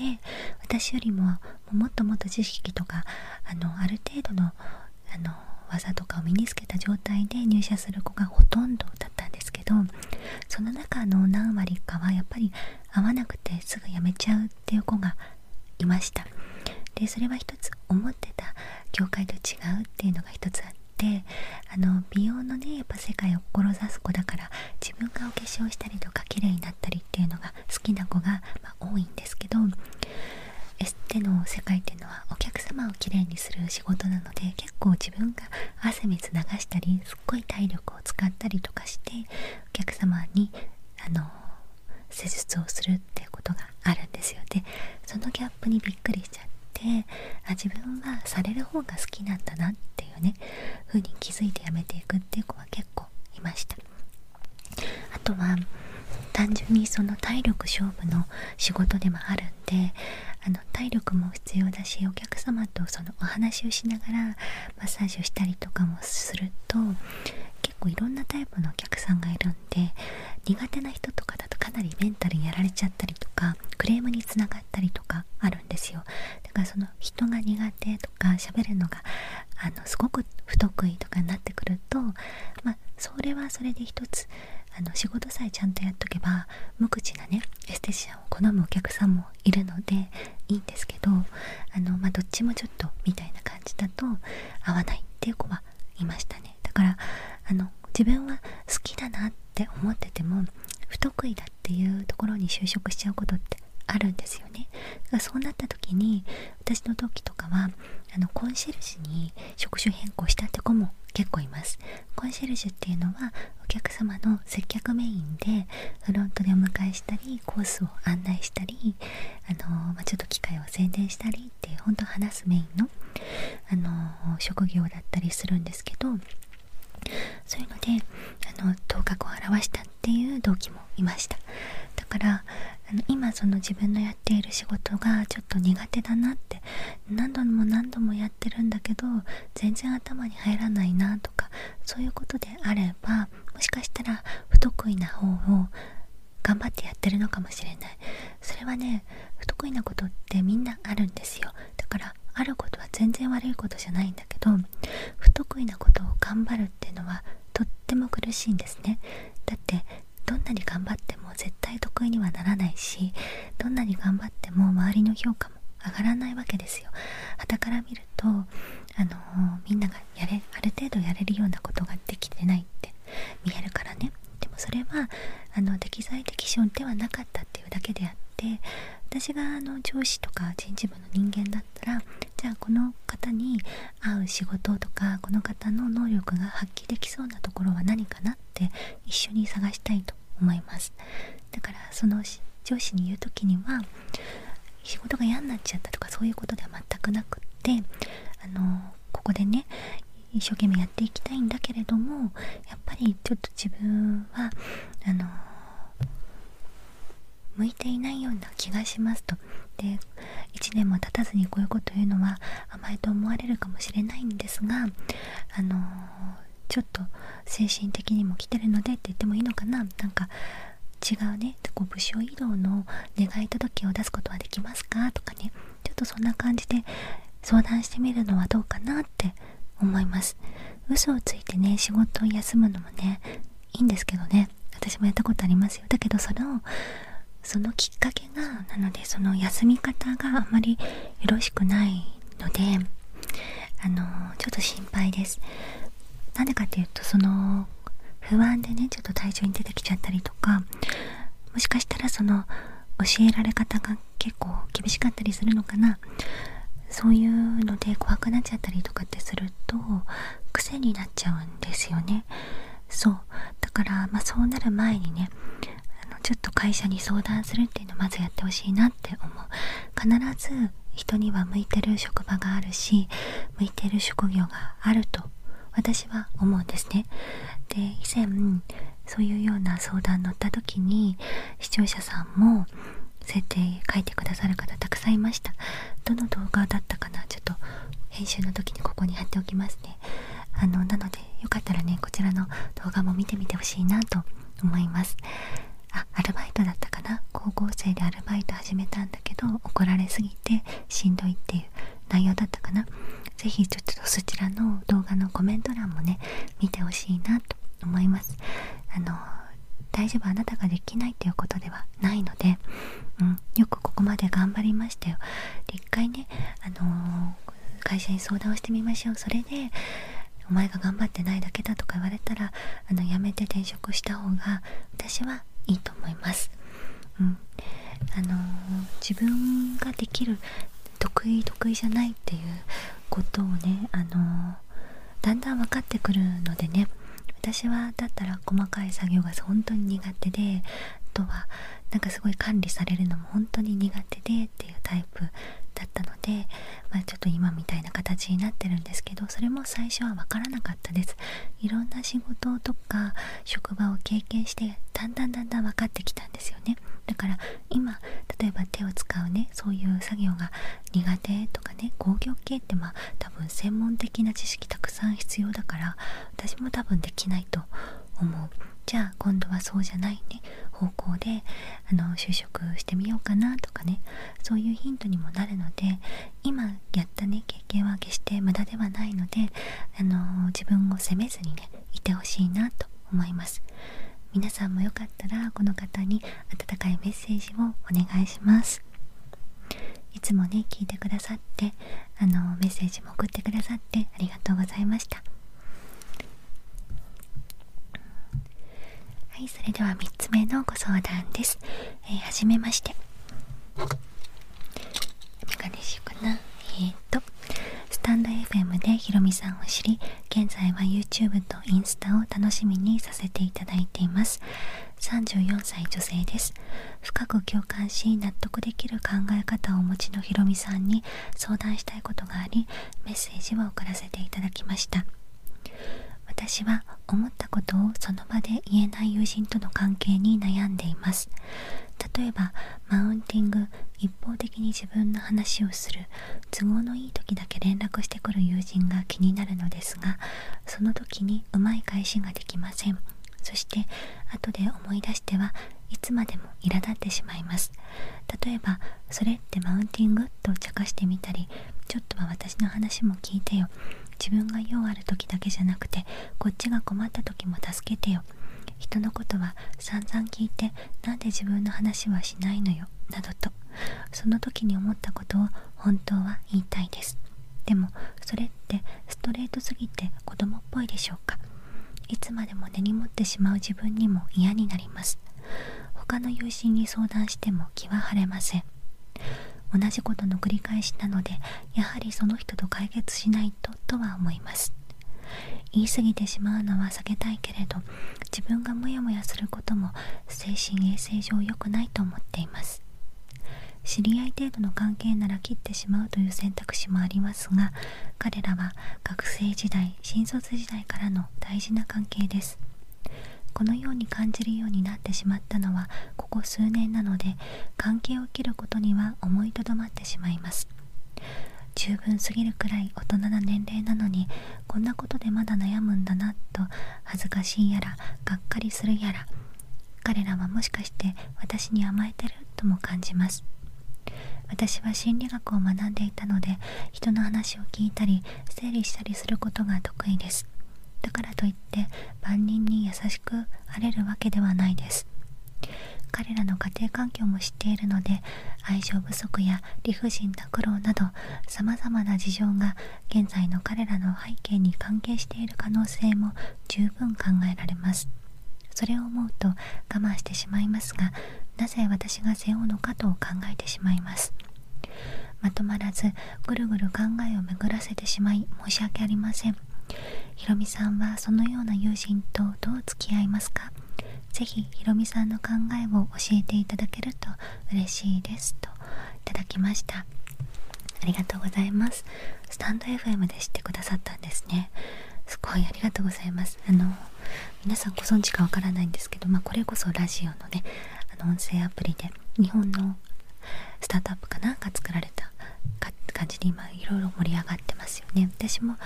私よりももっともっと知識とかあのある程度のあの技とかを身につけた状態で入社する子がほとんどだったんですけどその中の何割かはやっぱり合わなくてすぐ辞めちゃうっていう子がいましたでそれは一つ思ってた教会と違うっていうのが一つあってあの美容のねやっぱ世界を志す子だから自分がお化粧したりとか綺麗になったりっていうのが好きな子が、ま多いんですけどエステの世界っていうのはお客様をきれいにする仕事なので結構自分が汗水流したりすい体力を使ったりとかしてお客様にあの施術をするってことがあるんですよでそのギャップにびっくりしちゃってあ自分はされる方が好きなんだなっていうね風に気づいてやめていくっていう子は結構いましたあとは単純にその体力勝負の仕事でもあるんであの体力も必要だしお客様とそのお話をしながらマッサージをしたりとかもすると結構いろんなタイプのお客さんがいるんで苦手な人とかだとかなりメンタルやられちゃったりとかクレームにつながったりとかあるんですよだからその人が苦手とか喋るのがあのすごく不得意とかになってくるとまあそれはそれで一つあの仕事さえちゃんとやっとけば無口なねエステティシャンを好むお客さんもいるのでいいんですけどあの、まどっちもちょっとみたいな感じだと合わないっていう子はいましたねだからあの自分は好きだなって思ってても不得意だっていうところに就職しちゃうことってあるんですよねだからそうなった時に私の時とかはあのコンシェルジュに職種変更したって子も結構いますコンシェルジュっていうのはお客様の接客メインでフロントでお迎えしたりコースを案内したり、あのまちょっと機会を宣伝したりって本当話すメインの、あの職業だったりするんですけどそういうのであの頭角を現したっていう同期もいましただからあの今その自分のやっている仕事がちょっと苦手だなって何度も何度もやってるんだけど全然頭に入らないなとかそういうことであればもしかしたら不得意な方を頑張ってやってるのかもしれないそれはね不得意なことってみんなあるんですよだからあることは全然悪いことじゃないんだけど不得意なことを頑張るっていうのはとっても苦しいんですねだってどんなに頑張っても絶対得意にはならないしどんなに頑張っても周りの評価も上がらないわけですよ。はからとあのみんながやれある程度やれるようなことができてないって見えるからねでもそれはあの適材適所ではなかったっていうだけであって私があの上司とか人事部の人間だったらじゃあこの方に合う仕事とかこの方の能力が発揮できそうなところは何かなって一緒に探したいと思いますだからその上司に言う時には仕事が嫌になっちゃったとかそういうことでは全くなくってあのここでね一生懸命やっていきたいんだけれどもやっぱりちょっと自分はあの向いていないような気がしますとで1年も経たずにこういうこと言うのは甘えと思われるかもしれないんですがあのちょっと精神的にも来てるのでって言ってもいいのかななんか違うねこう部署移動の願い届を出すことはできますかとかねちょっとそんな感じで相談してみるのはどうかなって思います嘘をついてね仕事を休むのもねいいんですけどね私もやったことありますよだけどそのそのきっかけがなのでその休み方があまりよろしくないのであのちょっと心配ですなんかってうとその不安でねちょっと体調に出てきちゃったりとかもしかしたらその教えられ方が結構厳しかったりするのかなそういうので怖くなっちゃったりとかってすると癖になっちゃうんですよねそうだからまそうなる前にねあのちょっと会社に相談するっていうのをまずやってほしいなって思う必ず人には向いてる職場があるし向いてる職業があると私は思うんですね。で以前そういうような相談乗った時に視聴者さんも設定書いてくださる方たくさんいましたどの動画だったかなちょっと編集の時にここに貼っておきますねあのなのでよかったらねこちらの動画も見てみてほしいなと思いますあアルバイトだったかな高校生でアルバイト始めたんだけど怒られぎてしんどいっていう内容だったかな是非ちょっとそちらの動画のコメント欄もね見てほしいなと思いますあの大丈夫あなたができないっていうことではないので、うん、よくここまで頑張りましたよで一回ね、あの会社に相談をしてみましょうそれでお前が頑張ってないだけだとか言われたらあの辞めて転職した方が私はいいと思います。うんあの自分ができる得意得意じゃないっていうことをね、あのだんだん分かってくるのでね私はだったら細かい作業が本当に苦手であとはなんかすごい管理されるのも本当に苦手でっていうタイプだったので、まちょっと今みたいな形になってるんですけどそれも最初は分からなかったです。いろんな仕事とか職場を経験してだんだんだんだん分かってきたんですよねだから今例えば手を使うねそういう作業が苦手とかね工業系ってまあ多分専門的な知識たくさん必要だから私も多分できないと思うじゃあ今度はそうじゃないね方向であの就職してみようかなとかねそういうヒントにもなるので今やったね経験は決して無駄ではないので、あの自分を責めずにねいてほしいなと思います皆さんもよかったらこの方に温かいメッセージをお願いしますいつもね聞いてくださってあのメッセージも送ってくださってありがとうございましたはいそれでは3つ目のご相談です、えー、はじめましてメガネしようかなえっ、ー、とスタンド FM でひろみさんを知り現在は YouTube とインスタを楽しみにさせていただいています34歳女性です深く共感し納得できる考え方をお持ちのひろみさんに相談したいことがありメッセージを送らせていただきました私は思ったことをその場で言えない友人との関係に悩んでいます例えばマウンティング一方的に自分の話をする都合のいい時だけ連絡してくる友人が気になるのですがその時にうまい返しができませんそして後で思い出してはいつまでも苛立ってしまいます例えば「それってマウンティング?」と茶化してみたり「ちょっとは私の話も聞いてよ」自分が用ある時だけじゃなくてこっちが困った時も助けてよ人のことは散々聞いてなんで自分の話はしないのよなどとその時に思ったことを本当は言いたいですでもそれってストレートすぎて子供っぽいでしょうかいつまでも根に持ってしまう自分にも嫌になります他の友人に相談しても気は晴れません同じことの繰り返しなのでやはりその人と解決しないととは思います言い過ぎてしまうのは避けたいけれど自分がモヤモヤすることも精神衛生上良くないと思っています知り合い程度の関係なら切ってしまうという選択肢もありますが彼らは学生時代新卒時代からの大事な関係ですこのように感じるようになってしまったのはここ数年なので関係を切ることには思いとどまってしまいます十分すぎるくらい大人な年齢なのにこんなことでまだ悩むんだなと恥ずかしいやらがっかりするやら彼らはもしかして私に甘えてるとも感じます私は心理学を学んでいたので人の話を聞いたり整理したりすることが得意ですだからといって万人に優しくあれるわけではないです彼らの家庭環境も知っているので愛情不足や理不尽な苦労などさまざまな事情が現在の彼らの背景に関係している可能性も十分考えられますそれを思うと我慢してしまいますがなぜ私が背負うのかと考えてしまいますまとまらずぐるぐる考えを巡らせてしまい申し訳ありませんひろみさんはそのような友人とどう付き合いますかぜひひろみさんの考えを教えていただけると嬉しいですといただきましたありがとうございますスタンド FM で知ってくださったんですねすごいありがとうございますあの皆さんご存知かわからないんですけど、まあ、これこそラジオのねあの音声アプリで日本のスタートアップかなんか作られた感じで今いろいろ盛り上がってますよね私も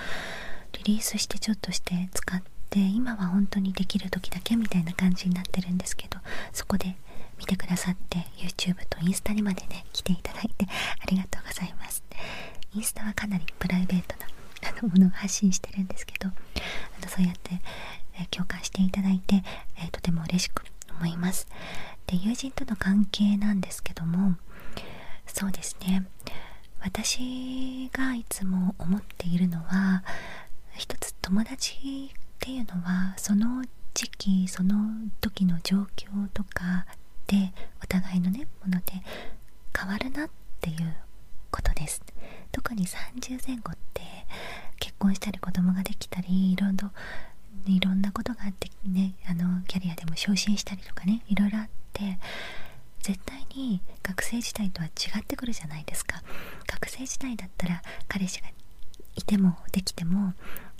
リリースしてちょっとして使って今は本当にできる時だけみたいな感じになってるんですけどそこで見てくださって YouTube とインスタにまでね来ていただいてありがとうございますインスタはかなりプライベートなあのものを発信してるんですけどあのそうやって、え共感していただいて、えとても嬉しく思いますで友人との関係なんですけどもそうですね私がいつも思っているのは一つ友達っていうのはその時期その時の状況とかでお互いのねもので変わるなっていうことです特に30前後って結婚したり子供ができたりいろいろいろんなことがあってねあのキャリアでも昇進したりとかねいろいろあって絶対に学生時代とは違ってくるじゃないですか学生時代だったら彼氏がいてもできても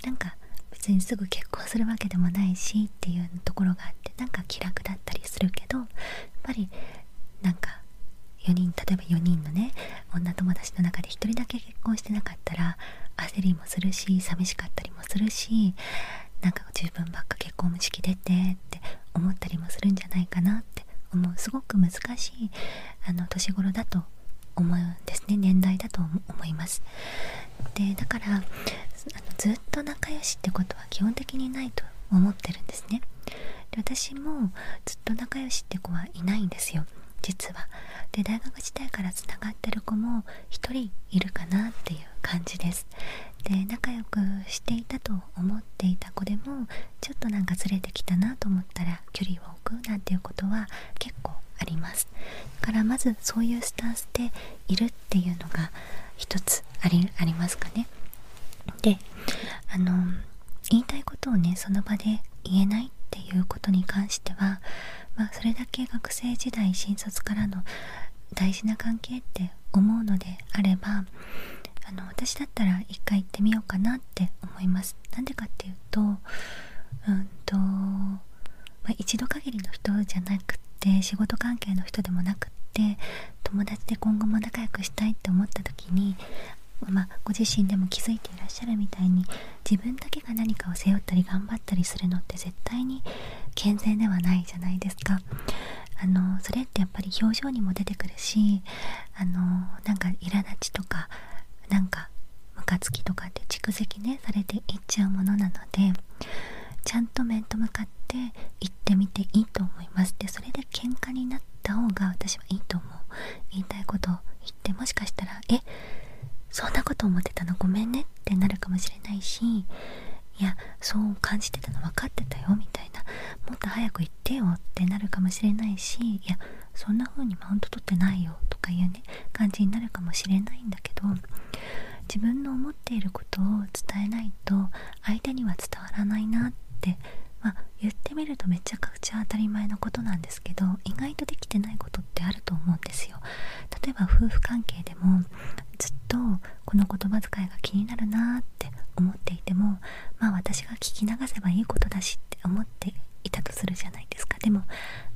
なんか別にすぐ結婚するわけでもないしっていうところがあってなんか気楽だったりするけどやっぱりなんか4人例えば4人のね女友達の中で1人だけ結婚してなかったらか焦りもするし寂しかったりもするしなんか自分ばっか結婚式出てって思ったりもするんじゃないかなって思うすごく難しいあの年頃だと思うんですね年代だと思いますでだからあのずっと仲良しってことは基本的にないと思ってるんですねで私もずっと仲良しって子はいないんですよ実はで大学時代からつながってる子も1人いるかなっていう感じですで仲良くしていたと思っていた子でもちょっとなんかずれてきたなと思ったら距離を置くなんていうことは結構ありますだからまずそういうスタンスでいるっていうのが一つありありますかねであの言いたいことをねその場で言えないっていうことに関してはまそれだけ学生時代新卒からの大事な関係って思うのであればあの私だったら一回行ってみようかなって思います。なんでかっていうとうんと、まあ、一度限りの人じゃなくって仕事関係の人でもなくって友達で今後も仲良くしたいって思った時に、まご自身でも気づいていらっしゃるみたいに自分だけが何かを背負ったり頑張ったりするのって絶対に健全ではないじゃないですかあのそれってやっぱり表情にも出てくるしあのなんか苛立ちとかなんかムカつきとかって蓄積ねされていっちゃうものなのでちゃんと面と向かって行ってみていいと思いますでそれで喧嘩になった方が私はいいと思う言いたいこと言ってもしかしたらえそんなこと思ってたのごめんね」ってなるかもしれないし「いやそう感じてたの分かってたよ」みたいな「もっと早く言ってよ」ってなるかもしれないし「いやそんな風にマウント取ってないよ」とかいうね感じになるかもしれないんだけど自分の思っていることを伝えないと相手には伝わらないなってま言ってみるとめちゃくちゃ当たり前のことなんですですけど意外とできてないことってあると思うんですよ例えば夫婦関係でもずっとこの言葉遣いが気になるなって思っていてもまあ私が聞き流せばいいことだしって思っていたとするじゃないですかでも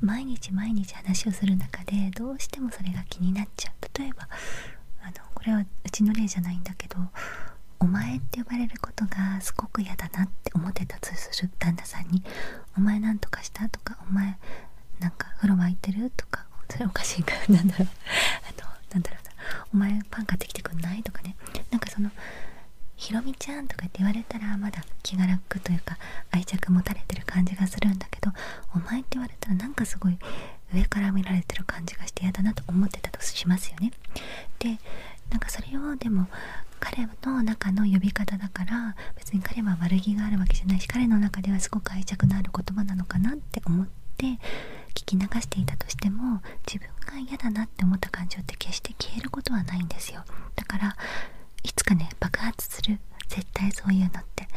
毎日毎日話をする中でどうしてもそれが気になっちゃう例えばあのこれはうちの例じゃないんだけど「お前」って呼ばれることがすごく嫌だなって思ってたとする旦那さんに「お前何とかした?」とか「お前なんか風呂沸いてる?」とかそれおかしいからなんだろう あとなんだろうな「お前パン買ってきてくんない?」とかねなんかその「ひろみちゃん」とかって言われたらまだ気が楽というか愛着持たれてる感じがするんだけど「お前」って言われたらなんかすごい上から見られてる感じがして嫌だなと思ってたとしますよね。でなんかそれをでも彼の中の呼び方だから別に彼は悪気があるわけじゃないし彼の中ではすごく愛着のある言葉なのかなって思って聞き流していたとしても自分が嫌だなって思った感情って決して消えることはないんですよだからいつかね爆発する絶対そういうのって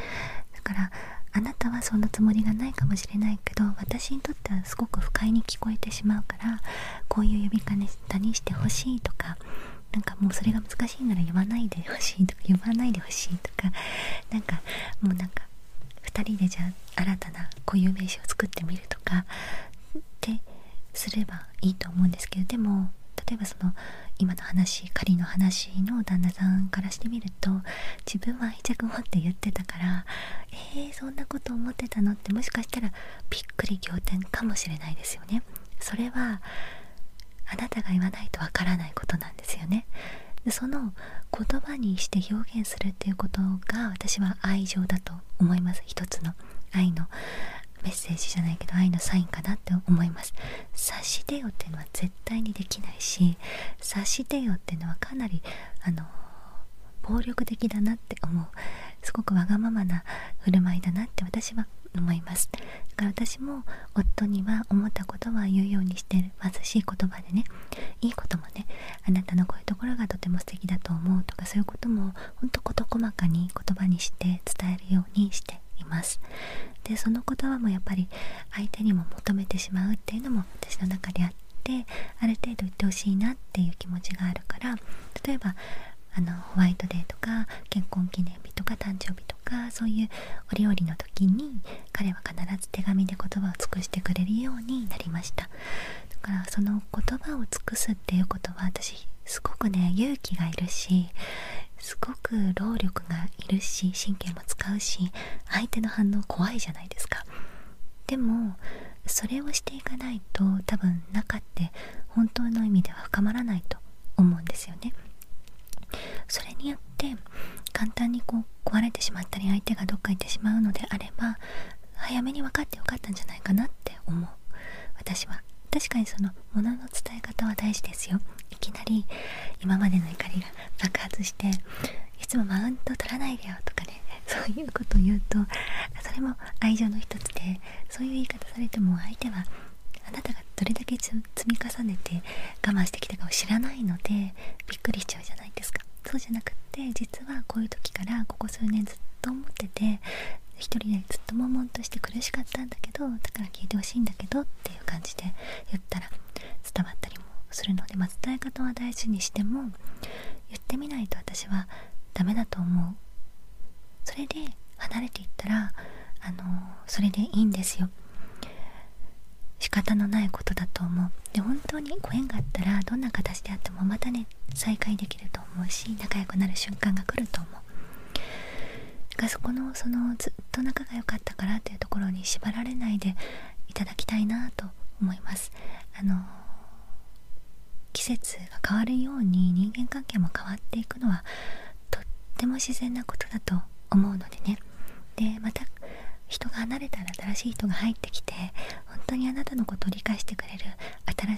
だからあなたはそんなつもりがないかもしれないけど私にとってはすごく不快に聞こえてしまうからこういう呼び方にしてほしいとかなんかもうそれが難しいなら呼ばないでほしいとか呼ばないでほしいとかなんかもうなんか2人でじゃあ新たな固有名詞を作ってみるとかってすればいいと思うんですけどでも例えばその今の話仮の話の旦那さんからしてみると自分は愛着持って言ってたからえー、そんなこと思ってたのってもしかしたらびっくり仰天かもしれないですよね。それはあなたが言わないとわからないことなんですよねでその言葉にして表現するっていうことが私は愛情だと思います一つの愛のメッセージじゃないけど愛のサインかなって思います察し出よっていうのは絶対にできないし察し出よっていうのはかなりあの暴力的だなって思うすごくわがままな振る舞いだなって私は思いますだから私も夫には思ったことは言うようにしてる。貧しい言葉でねいいこともねあなたのこういうところがとても素敵だと思うとかそういうこともほんと事細かに言葉にして伝えるようにしていますでその言葉もやっぱり相手にも求めてしまうっていうのも私の中であってある程度言ってほしいなっていう気持ちがあるから例えばあのホワイトデーとか結婚記念日とか誕生日とかそういうお料理の時に彼は必ず手紙で言葉を尽くしてくれるようになりましただからその言葉を尽くすっていうことは私すごくね勇気がいるしすごく労力がいるし神経も使うし相手の反応怖いじゃないですかでもそれをしていかないと多分中って本当の意味では深まらないと思うんですよねそれによって簡単にこう壊れてしまったり相手がどっか行ってしまうのであれば早めに分かってよかったんじゃないかなって思う私は確かにその物の伝え方は大事ですよいきなり今までの怒りが爆発していつもマウント取らないでよとかねそういうことを言うとそれも愛情の一つでそういう言い方されても相手はあなたがどれだけ積み重ねて我慢してきたかを知らないのでびっくりしちゃうじゃないですかそうじゃなくって実はこういう時からここ数年ずっと思ってて一人でずっと悶々として苦しかったんだけどだから聞いてほしいんだけどっていう感じで言ったら伝わったりもするので、ま伝え方は大事にしても言ってみないと私はダメだと思うそれで離れていったらあのそれでいいんですよ仕方のないことだと思うで本当にご縁があったらどんな形であってもまたね再会できると思うし仲良くなる瞬間が来ると思うだからそこのそのずっと仲が良かったからというところに縛られないでいただきたいなと思いますあの季節が変わるように人間関係も変わっていくのはとっても自然なことだと思うのでねでまた人が離れたら新しい人が入ってきて本当にあなたのことを理解してくれる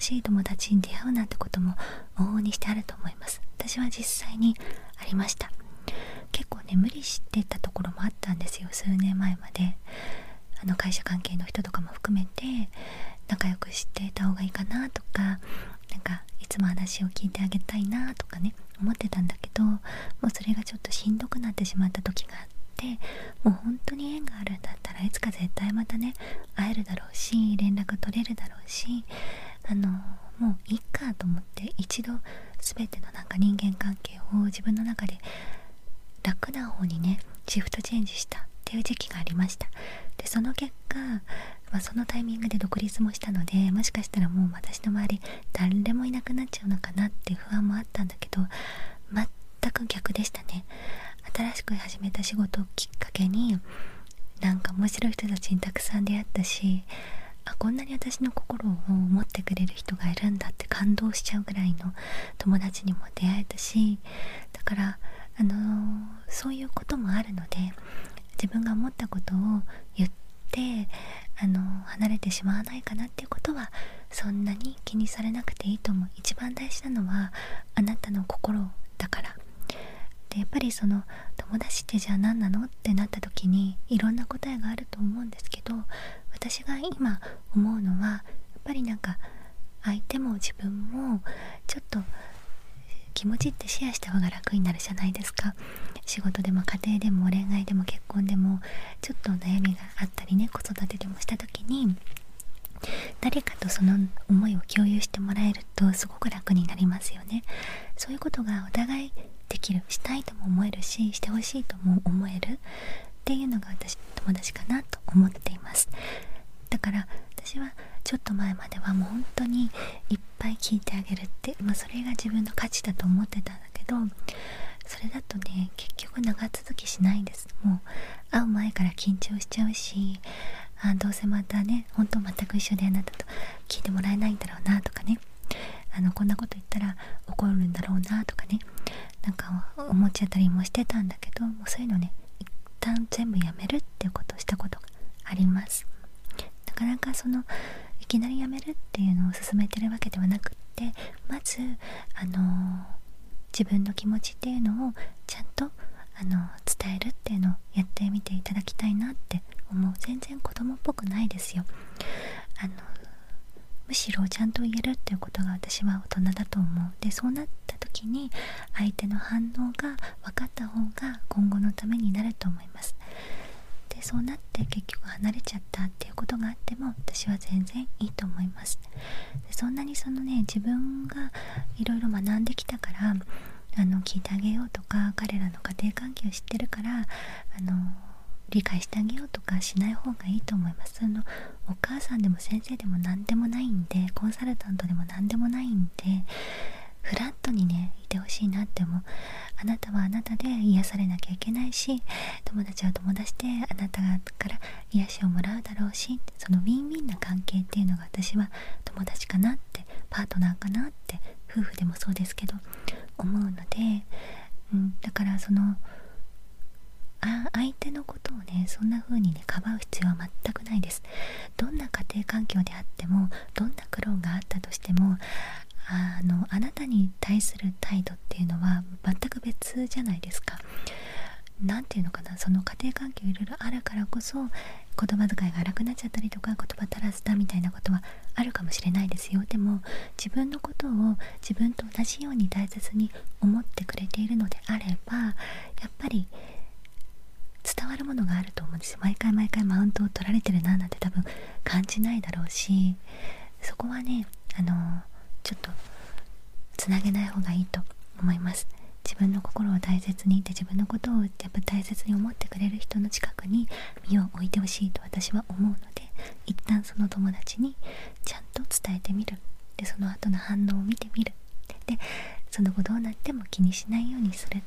新しい友達に出会うなんてことも往々にしてあると思います私は実際にありました結構ね無理してたところもあったんですよ数年前まであの会社関係の人とかも含めて仲良くしてた方がいいかなととかなんかいつも話を聞いてあげたいなとかね思ってたんだけどもうそれがちょっとしんどくなってしまった時があってもう本当に縁があるんだったらいつか絶対またね会えるだろうし連絡取れるだろうしあのもういっかと思って一度全てのなんか人間関係を自分の中で楽な方にねシフトチェンジしたっていう時期がありましたでその結果まそのタイミングで独立もしたのでもしかしたらもう私の周り誰もいなくなっちゃうのかなって不安もあったんだけど全く逆でしたね新しく始めた仕事をきっかけになんか面白い人たちにたくさん出会ったしあこんなに私の心を思ってくれる人がいるんだって感動しちゃうぐらいの友達にも出会えたしだからあのそういうこともあるので自分が思ったことを言ってあの離れてしまわないかなっていうことはそんなに気にされなくていいと思う一番大事なのはあなたの心だからでやっぱりその友達ってじゃあ何なのってなった時にいろんな答えがあると思うんですけど私が今思うのはやっぱりなんか相手も自分もちょっと気持ちってシェアした方が楽になるじゃないですか仕事でも家庭でも恋愛でも結婚でもちょっと悩みがあったりね子育てでもした時に誰かとその思いを共有してもらえるとすごく楽になりますよねそういうことがお互いできるしたいとも思えるししてほしいとも思えるっていうのが私友達かなと思っていますだから私はちょっと前まではもう本当に一ぱい聞いてあげるって、まそれが自分の価値だと思ってたんだけどそれだとね結局長続きしないですもう会う前から緊張しちゃうしあどうせまたねほんと全く一緒であなたと聞いてもらえないんだろうなとかねあのこんなこと言ったら怒るんだろうなとかねなんか思っちゃったりもしてたんだけどもうそういうのね一旦全部やめるっていうことをしたことがあります。なかなかそのいきなりやめるっていうのを勧めてるわけではなくってまずあの自分の気持ちっていうのをちゃんとあの伝えるっていうのをやってみていただきたいなって思う全然子供っぽくないですよあのむしろちゃんと言えるっていうことが私は大人だと思うでそうなった時に相手の反応が分かった方が今後のためになると思いますでそうなって結局離れちゃったっていうことがあっても私は全然いいと思いますそんなにそのね自分がいろいろ学んできたからあの聞いてあげようとか彼らの家庭環境を知ってるからあの理解してあげようとかしない方がいいと思いますあのお母さんでも先生でも何でもないんでコンサルタントでも何でもないんでフラットにねいてほしいなって思あなたはあなたで癒されなきゃいけないし友達は友達であなたから癒しをもらうだろうしそのウィンウィンな関係っていうのが私は友達かなってパートナーかなって夫婦でもそうですけど思うので、うん、だからそのあ相手のことをねそんな風にねかばう必要は全くないですどんな家庭環境であってもどんな苦労があったとしてもあのあなたに対する態度っていうのは全く別じゃないですか。何て言うのかなその家庭環境いろいろあるからこそ言葉遣いが荒くなっちゃったりとか言葉足らずだみたいなことはあるかもしれないですよでも自分のことを自分と同じように大切に思ってくれているのであればやっぱり伝わるものがあると思うんです毎回毎回マウントを取られてるななんて多分感じないだろうしそこはねあのちょっとつげない方がいいと思います自分の心を大切にいて自分のことをやっぱ大切に思ってくれる人の近くに身を置いてほしいと私は思うので一旦その友達にちゃんと伝えてみるでその後の反応を見てみるでその後どうなっても気にしないようにする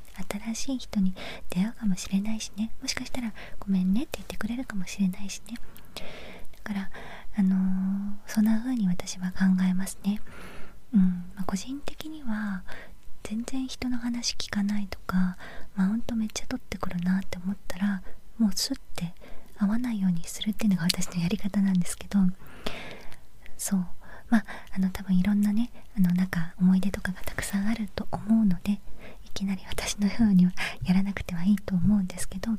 新しい人に出会うかもしれないしねもしかしたら「ごめんね」って言ってくれるかもしれないしねだからあのそんな風に私は考えますねうん、ま個人的には全然人の話聞かないとかマウントめっちゃ取ってくるなって思ったらもうスッて合わないようにするっていうのが私のやり方なんですけどそうまああの多分いろんなねあのなんか思い出とかがたくさんあると思うのでいきなり私のようにはやらなくてはいいと思うんですけど、ま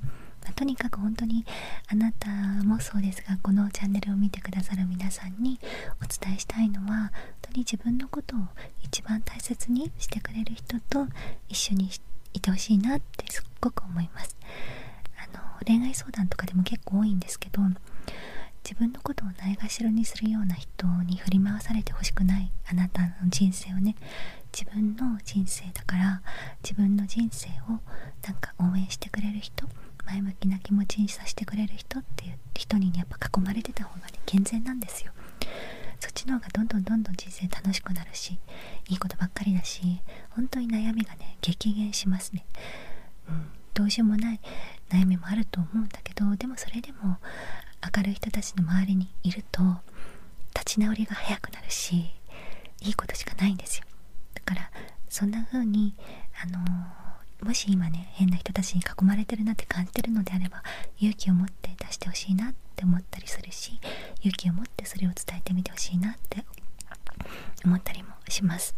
とにかく本当にあなたもそうですがこのチャンネルを見てくださる皆さんにお伝えしたいのは本当に自分のことを一番大切にしてくれる人と一緒にいてほしいなってすっごく思います。あの恋愛相談とかでも結構多いんですけど自分のことをないがしろにするような人に振り回されてほしくないあなたの人生をね自分の人生だから自分の人生をなんか応援してくれる人前向きな気持ちにさせてくれる人っていう人に、やっぱ囲まれてた方がね健全なんですよそっちの方がどんどんどんどん人生楽しくなるしいいことばっかりだし本当に悩みがね激減しますねうんどうしようもない悩みもあると思うんだけどでもそれでも明るい人たちの周りにいると立ち直りが早くなるしいいことしかないんですよだからそんな風にあのもし今ね変な人たちに囲まれてるなって感じてるのであれば勇気を持って出してほしいなって思ったりするし勇気を持ってそれを伝えてみてほしいなって思ったりもします。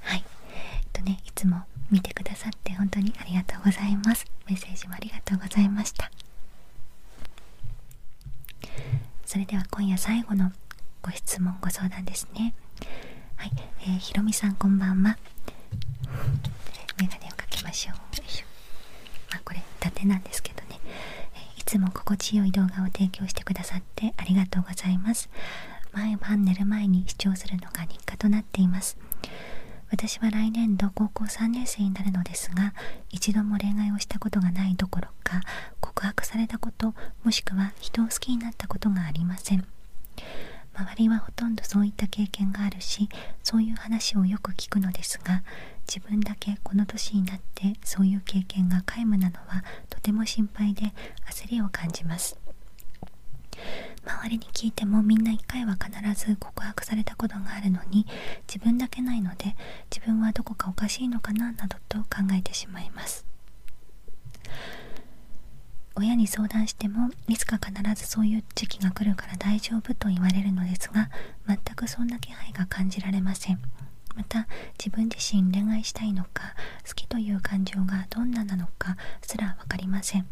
はいえっとねいつも見てくださって本当にありがとうございますメッセージもありがとうございましたそれでは今夜最後のご質問ご相談ですねはい、えー、ひろみさんこんばんはメガネをかけましょうまあこれ縦なんですけどね、えいつも心地よい動画を提供してくださってありがとうございます毎晩寝る前に視聴するのが日課となっています私は来年度高校3年生になるのですが一度も恋愛をしたことがないどころか告白されたこともしくは人を好きになったことがありません周りはほとんどそういった経験があるしそういう話をよく聞くのですが自分だけこの年になってそういう経験が皆無なのはとても心配で焦りを感じます周りに聞いてもみんな1回は必ず告白されたことがあるのに自分だけないので自分はどこかおかしいのかななどと考えてしまいます親に相談してもいつか必ずそういう時期が来るから大丈夫と言われるのですが全くそんな気配が感じられませんまた自分自身恋愛したいのか好きという感情がどんななのかすら分かりません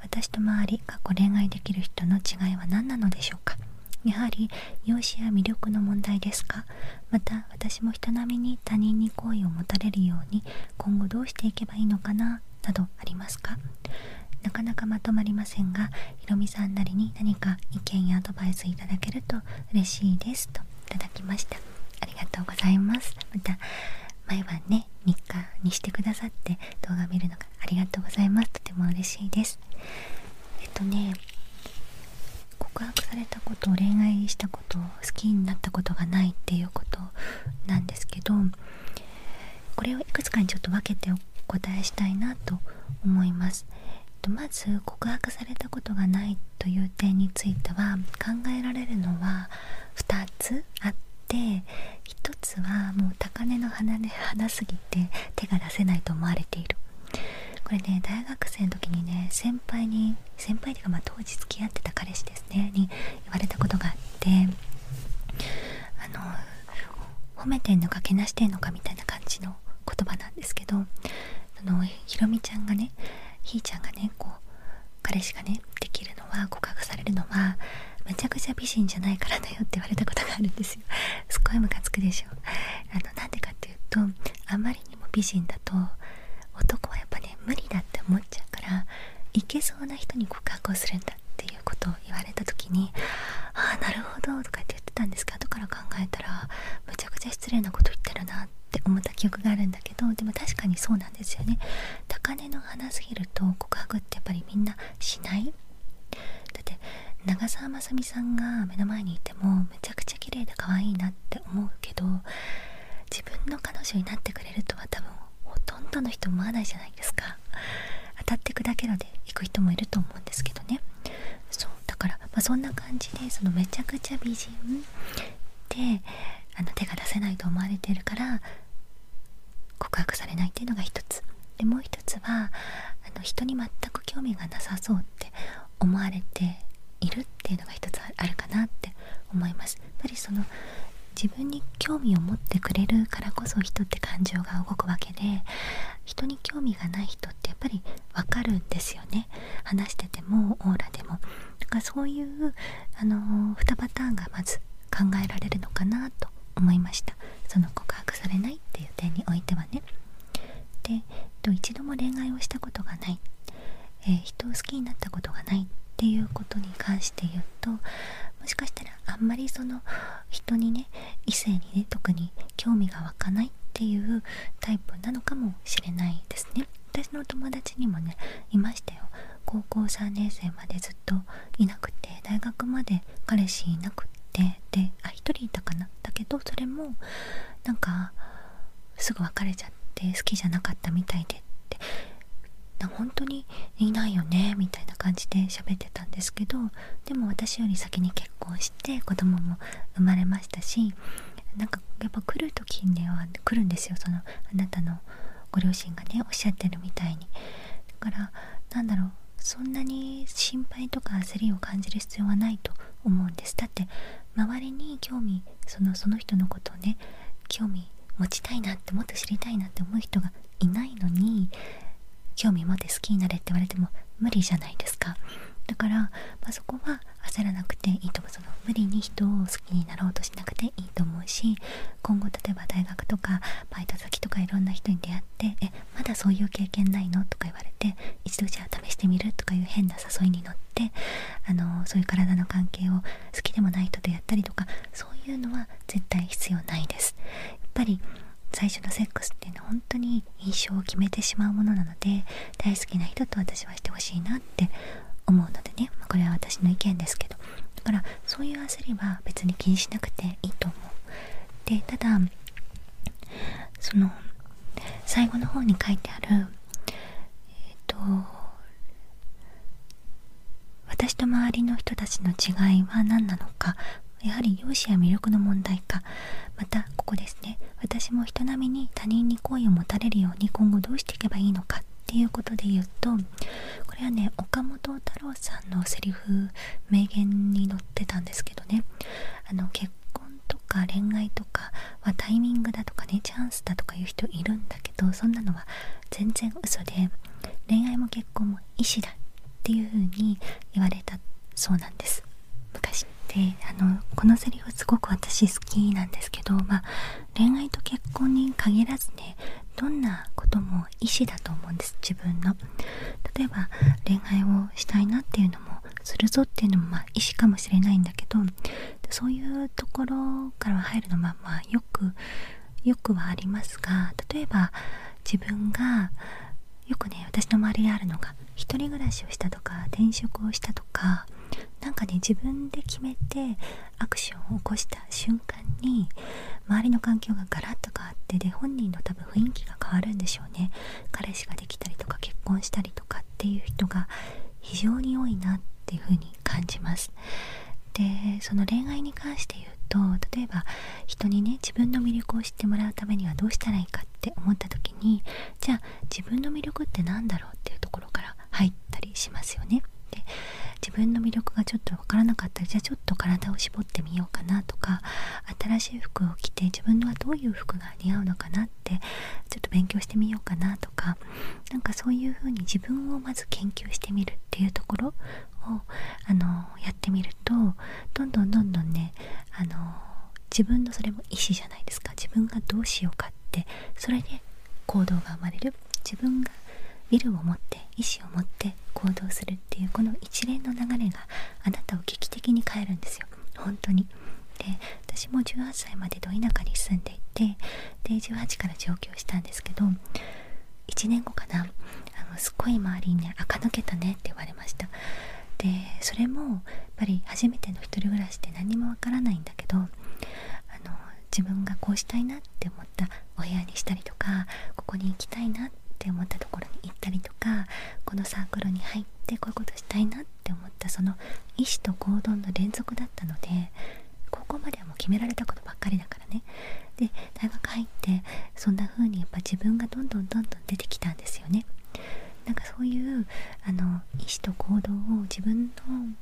私と周り過去恋愛できる人の違いは何なのでしょうかやはり容姿や魅力の問題ですかまた私も人並みに他人に好意を持たれるように今後どうしていけばいいのかななどありますかなかなかまとまりませんがひろみさんなりに何か意見やアドバイスいただけると嬉しいですといただきましたありがとうございますまた毎晩ね3日にしてくださって動画見るのがありがとうございますとても嬉しいですえっとね告白されたこと恋愛したこと好きになったことがないっていうことなんですけどこれをいくつかにちょっと分けてお答えしたいなと思います、えっと、まず告白されたことがないという点については考えられるのは2つあって1つはもう高嶺の花で花すぎて手が出せないと思われているこれね大学生の時にね先輩に先輩というかま当時付き合ってた彼氏ですねに言われたことがあってあの褒めてんのかけなしてんのかみたいな感じの言葉なんですけどあのひろみちゃんがねひーちゃんがねこう彼氏がねできるのは告白されるのはめちゃくちゃ美人じゃないからだよって言われたことがあるんですよ すっごいムカつくでしょあのなんでかっていうとあまりにも美人だと男はやっぱね無理だって思っちゃうからいけそうな人に告白をするんだっていうことを言われた時に「ああなるほど」とかって言ってたんですけど後から考えたらむちゃくちゃ失礼なこと言ってるなって思った記憶があるんだけどけどでも確かにそうなんですよね高嶺の花すぎると告白ってやっぱりみんなしないだって長澤まさみさんが目の前にいてもめちゃくちゃ綺麗で可愛いなって思うけど自分の彼女になってくれるとは多分ほとんどの人思わないじゃないですか当たって砕けろで行く人もいると思うんですけどねそうだから、まあ、そんな感じでそのめちゃくちゃ美人であの手が出せないと思われてるから告白されないっていうのが一つでもう一つはあの人に全く興味がなさそうって思われているっていうのが一つあるかなって思いますやっぱりその自分に興味を持ってくれるからこそ人って感情が動くわけで人に興味がない人ってやっぱりわかるんですよね話しててもオーラでもなんかそういう、あの2パターンがまず考えられるのかなと思いましたその告白されないっていう点においてはねで、えっと、一度も恋愛をしたことがない、え人を好きになったことがないっていうことに関して言うともしかしたらあんまりその人にね異性にね特に興味が湧かないっていうタイプなのかもしれないですね私の友達ちにもねいましたよ高校3年生までずっといなくて大学まで彼氏いなくってであ1人いたかなだけどそれもなんかすぐ別れちゃって好きじゃなかったみたいでって本当にいないよねみたいな感じで喋ってたんですけどでも私より先に結婚して子供も生まれましたしなんかやっぱ来る時には来るんですよそのあなたのご両親がねおっしゃってるみたいにだからなんだろうそんなに心配とか焦りを感じる必要はないと思うんですだって周りに興味そのその人のことをね興味持ちたいなってもっと知りたいなって思う人がいないのに興味持って好きになれって言われても無理じゃないですかだから、まそこは焦らなくていいと思うその無理に人を好きになろうとしなくてと思うし今後例えば大学とかバイト先とかいろんな人に出会って「えまだそういう経験ないの?」とか言われて「一度じゃあ試してみる?」とかいう変な誘いに乗ってあのそういう体の関係を好きでもない人とやったりとかそういうのは絶対必要ないです。やっぱり最初のセックスっていうのは本当に印象を決めてしまうものなので大好きな人と私はしてほしいなって思うのでね、まこれは私の意見ですけどだからそういう焦りは別に気にしなくていいと思うでただその最後の方に書いてあるえっ、と私と周りの人たちの違いは何なのかやはり容姿や魅力の問題かまたここですね私も人並みに他人に好意を持たれるように今後どうしていけばいいのかっていうことで言うとこれはね岡本太郎さんのセリフ名言に載ってたんですけどねあの結婚とか恋愛とかはタイミングだとかねチャンスだとか言う人いるんだけどそんなのは全然嘘で恋愛も結婚も意思だっていうふうに言われたそうなんです昔って、あのこのセリフすごく私好きなんですけどまあ恋愛と結婚に限らずねどんなことも意思だと思うんです自分の例えば恋愛をしたいなっていうのもするぞっていうのもまあ意思かもしれないんだけどそういうところから入るのはまあよくよくはありますが例えば自分がよくね私の周りにあるのが一人暮らしをしたとか転職をしたとかなんかね自分で決めてアクションを起こした瞬間に周りの環境がガラッと変わってで本人の多分雰囲気が変わるんでしょうね彼氏ができたりとか結婚したりとかっていう人が非常に多いなっていうふに感じますでその恋愛に関して言うと例えば人にね自分の魅力を知ってもらうためにはどうしたらいいかって思った時にじゃあ自分の魅力って何だろうっていうところから入ったりしますよね。で自分の魅力がちょっと分からなかったらじゃあちょっと体を絞ってみようかなとか新しい服を着て自分のはどういう服が似合うのかなってちょっと勉強してみようかなとか何かそういう風に自分をまず研究してみるっていうところをあのやってみるとどんどんどんどんねあの自分のそれも意思じゃないですか自分がどうしようかってそれで行動が生まれる自分ビルを持って意志を持って行動するっていうこの一連の流れがあなたを危機的に変えるんですよ本当にで私も18歳までど田舎に住んでいてで18から上京したんですけど1年後かなあのすっごい周りにね垢抜けたねって言われましたでそれもやっぱり初めての1人暮らしって何もわからないんだけどあの自分がこうしたいなって思ったお部屋にしたりとかここに行きたいなって思ったところに行ったりとかこのサークルに入ってこういうことしたいなって思ったその意思と行動の連続だったので高校まではもう決められたことばっかりだからねで大学入ってそんな風にやっぱ自分がどんどんどんどん出てきたんですよね。なんかそういうあの意思と行動を自分の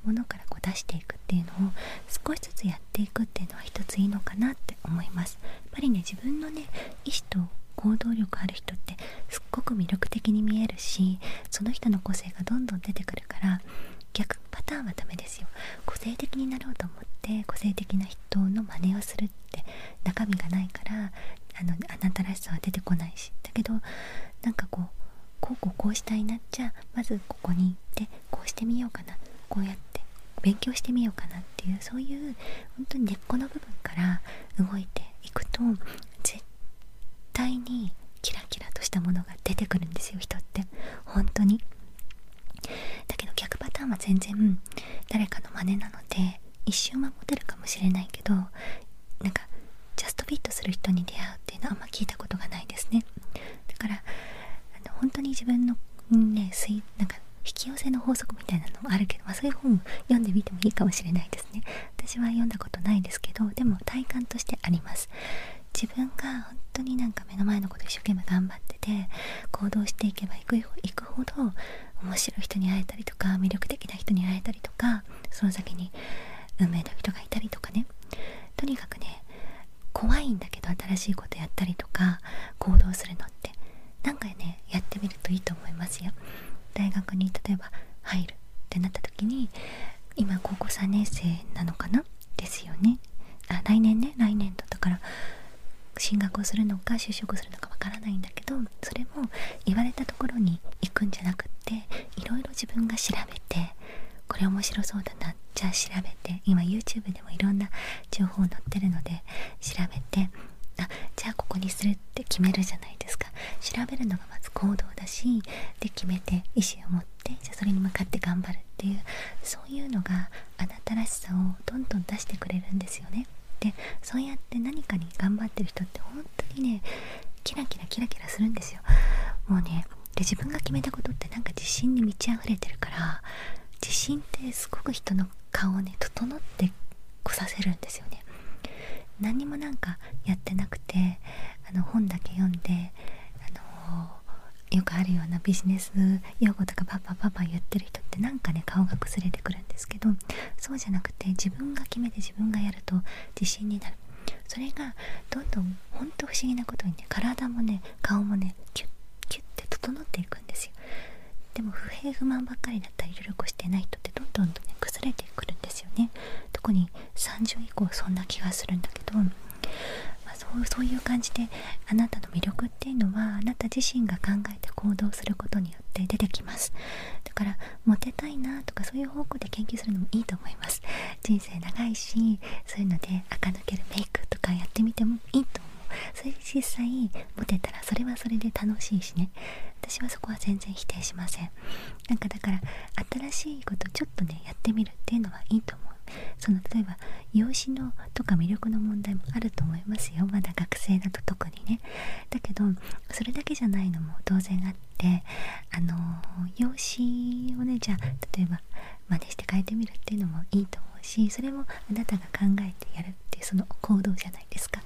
ものからこう出していくっていうのを少しずつやっていくっていうのは一ついいのかなって思いますやっぱりね自分のね意志と行動力ある人ってすっごく魅力的に見えるしその人の個性がどんどん出てくるから逆パターンはダメですよ個性的になろうと思って個性的な人の真似をするって中身がないからあのあなたらしさは出てこないしだけどなんかこうこうこうこうしたいなっちゃまずここに行ってこうしてみようかなこうやって勉強してみようかなっていうそういう本当に根っこの部分から動いていくと絶対にキラキラとしたものが出てくるんですよ人って本当にだけど逆パターンは全然誰かの真似なので一瞬はモテるかもしれないけどなんかジャストフィットする人に出会うっていうのはあんま聞いたことがないですねだからあの本当に自分の、ね、なんか引き寄せの法則みたいなのもあるけど、まそういう本を読んでみてもいいかもしれないですね私は読んだことないですけどでも体感としてあります自分が本当になんか目の前のこと一生懸命頑張ってて行動していけばいくほど面白い人に会えたりとか魅力的な人に会えたりとかその先に運命の人がいたりとかねとにかくね怖いんだけど新しいことやったりとか行動するのってなんかねやってみるといいと思いますよ。大学に例えば入るってなった時に今高校3年生なのかなですよねあ来年ね来年度だから進学をするのか就職するのかわからないんだけどそれも言われたところに行くんじゃなくっていろいろ自分が調べてこれ面白そうだなじゃあ調べて今 YouTube でもいろんな情報載ってるので調べてあじゃあここにするって決めるじゃないですか調べるのがまず行動だしで決めて意思を持ってじゃそれに向かって頑張るっていうそういうのがあなたらしさをどんどん出してくれるんですよね。でそうやって何かに頑張ってる人って本当にねキラキラキラキラするんですよ。もうねで自分が決めたことってなんか自信に満ち溢れてるから自信ってすごく人の顔をね整ってこさせるんですよね何もなんかやってなくてあの本だけ読んであのよくあるようなビジネス用語とかパパパパ言ってる人ってなんかね顔が崩れてくるんですけどそうじゃなくて自分が決めて自分がやると自信になるそれがどんどん本当不思議なことにね体もね顔もねキュッキュッて整っていくんですよでも不平不満ばっかりだったり努力してない人ってどんどんとね崩れてくるんですよね特に30以降そんな気がするんだけど、まそうそういう感じであなたの魅力っていうのはあなた自身が考えて行動することによって出てきますだからモテたいなとかそういう方向で研究するのもいいと思います人生長いしそういうので垢抜けるメイクとかやってみてもいいと思うそれで実際モテたらそれはそれで楽しいしね私はそこは全然否定しませんなんかだから新しいことちょっとねやってみるっていうのはいいと思うその例えば容姿のとか魅力の問題もあると思いますよまだ学生だと特にねだけどそれだけじゃないのも当然あってあの用紙をねじゃあ例えば真似して変えてみるっていうのもいいと思うしそれもあなたが考えてやるっていうその行動じゃないですか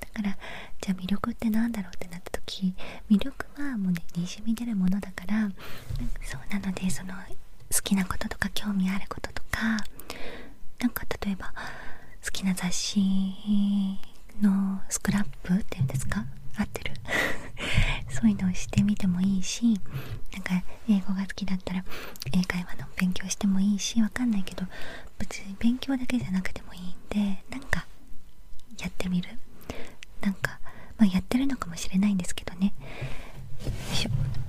だからじゃあ魅力って何だろうってなった時魅力はもうねにじみ出るものだからそうなのでその好きなこととか興味あることとか何か例えば好きな雑誌のスクラップっていうんですか合ってる そういうのをしてみてもいいしなんか英語が好きだったら英会話の勉強してもいいしわかんないけど別に勉強だけじゃなくてもいいんでなんかやってみるなんか、まあ、やってるのかもしれないんですけどね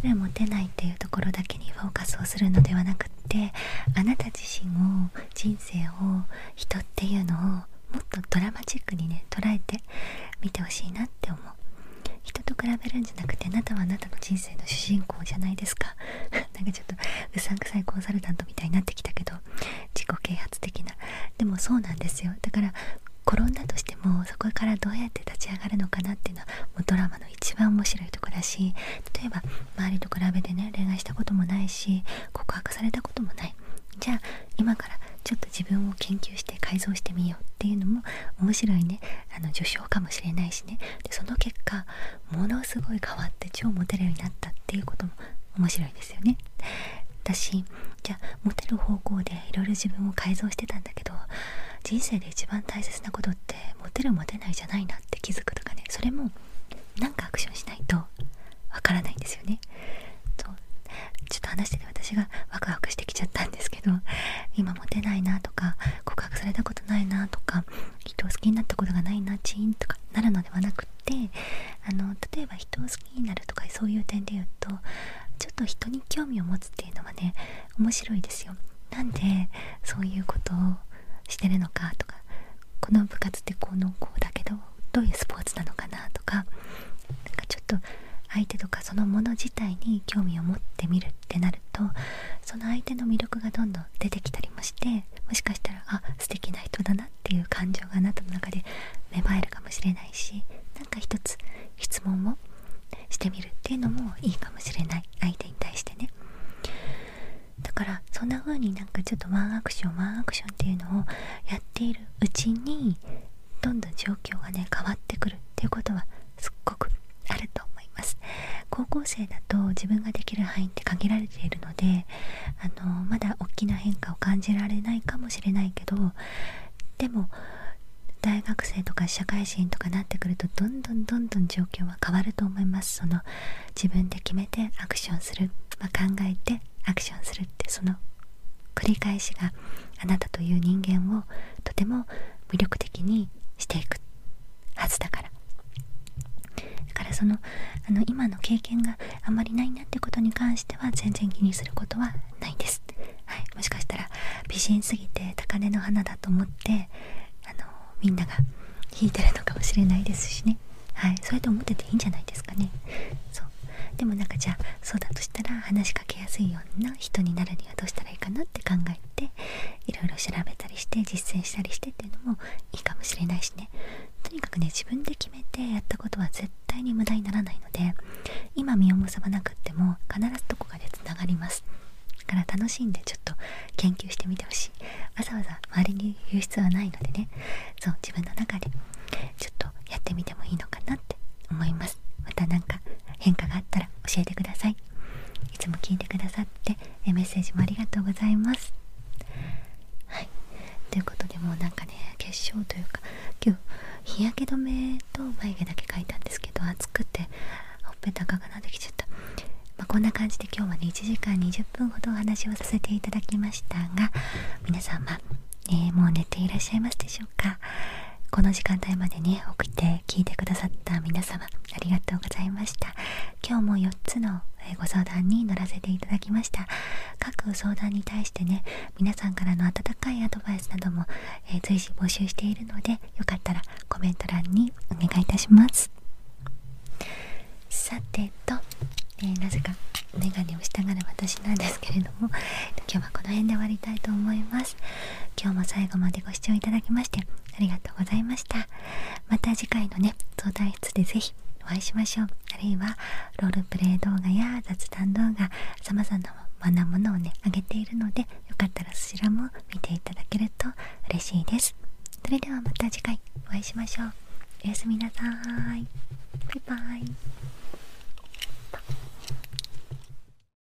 モテないっていうところだけにフォーカスをするのではなくってあなた自身を人生を人っていうのをもっとドラマチックにね捉えてみてほしいなって思う人と比べるんじゃなくてあなたはあなたの人生の主人公じゃないですか なんかちょっとうさんくさいコンサルタントみたいになってきたけど自己啓発的なでもそうなんですよだから転んだとしてもそこからどうやって立ち上がるのかなっていうのはもうドラマの一番面白いとこだし例えば周りと比べてね恋愛したこともないし告白されたこともないじゃあ今からちょっと自分を研究して改造してみようっていうのも面白いねあの序章かもしれないしねでその結果ものすごい変わって超モテるようになったっていうことも面白いですよね。私じゃあモテる方向でいろいろ自分を改造してたんだけど人生で一番大切なことってモテるモテないじゃないなって気づくとかねそれもなんかアクションしないとわからないんですよね。そうちょっと私がワクワクしてきちゃったんですけど今モテないなとか告白されたことないなとか人を好きになったことがないなチーンとかなるのではなくってあの例えば人を好きになるとかそういう点で言うとちょっと人に興味を持つっていうのはね面白いですよ。なんでそういうことをしてるのかとかこの部活ってこうのこうだけどどういうスポーツなのかなとかなんかちょっと相手とかそのもの自体に興味を持ってみるってなるとその相手の魅力がどんどん出てきたりもしてもしかしたらあ素敵な人だなっていう感情があなたの中で芽生えるかもしれないしなんか一つ質問をしてみるっていうのもいいかもしれない相手に対してねだからそんな風になんかちょっとワンアクションワンアクションっていうのをやっているうちにどんどん状況がね変わってくるっていうことはすっごくあると思います高校生だと自分ができる範囲って限られているのであのまだ大きな変化を感じられないかもしれないけどでも大学生とか社会人とかなってくるとどんどんどんどん状況は変わると思いますその自分で決めてアクションする、ま考えてアクションするってその繰り返しがあなたという人間をとても魅力的にしていくはずだからだからそのあの今の経験があんまりないなってことに関しては全然気にすることはないです、はい、もしかしたら美人すぎて高嶺の花だと思ってあのみんなが弾いてるのかもしれないですしねはいそうやって思ってていいんじゃないですかねそうでもなんかじゃそうだとしたらかけやすいような人になるにはどうしたらいいかなって考えていろいろ調べたりして実践したりしてっていうのもいいかもしれないしねとにかくね自分で決めてやったことは絶対に無駄にならないので今身を結ばなくっても必ずどこかでつながりますから楽しんでちょっと研究してみてほしいわざわざ周りに言う必要はないのでねそう自分の中でちょっとやってみてもいいのかなって思いますますまたか変化があったら教えてくださいいつも聞いてくださってメッセージもありがとうございますはいということでもうなんかね結晶というか今日日焼け止めと眉毛だけ描いたんですけど暑くてほっぺた赤くなってきちゃった、まこんな感じで今日はね1時間20分ほどお話をさせていただきましたが皆様、えもう寝ていらっしゃいますでしょうかこの時間帯までね送って聞いてくださった皆様ありがとうございました今日も4つのご相談に乗らせていただきました各相談に対してね皆さんからの温かいアドバイスなども、え随時募集しているのでよかったらコメント欄にお願いいたしますさてと、えなぜかメガネをしたがる私なんですけれども今日はこの辺で終わりたいと思います今日も最後までご視聴いただきましてありがとうございましたまた次回のね相談室で是非お会いしましょうあるいはロールプレイ動画や雑談動画さまざまなものをねあげているのでよかったらそちらも見ていただけると嬉しいですそれではまた次回お会いしましょうおやすみなさーいバイバイ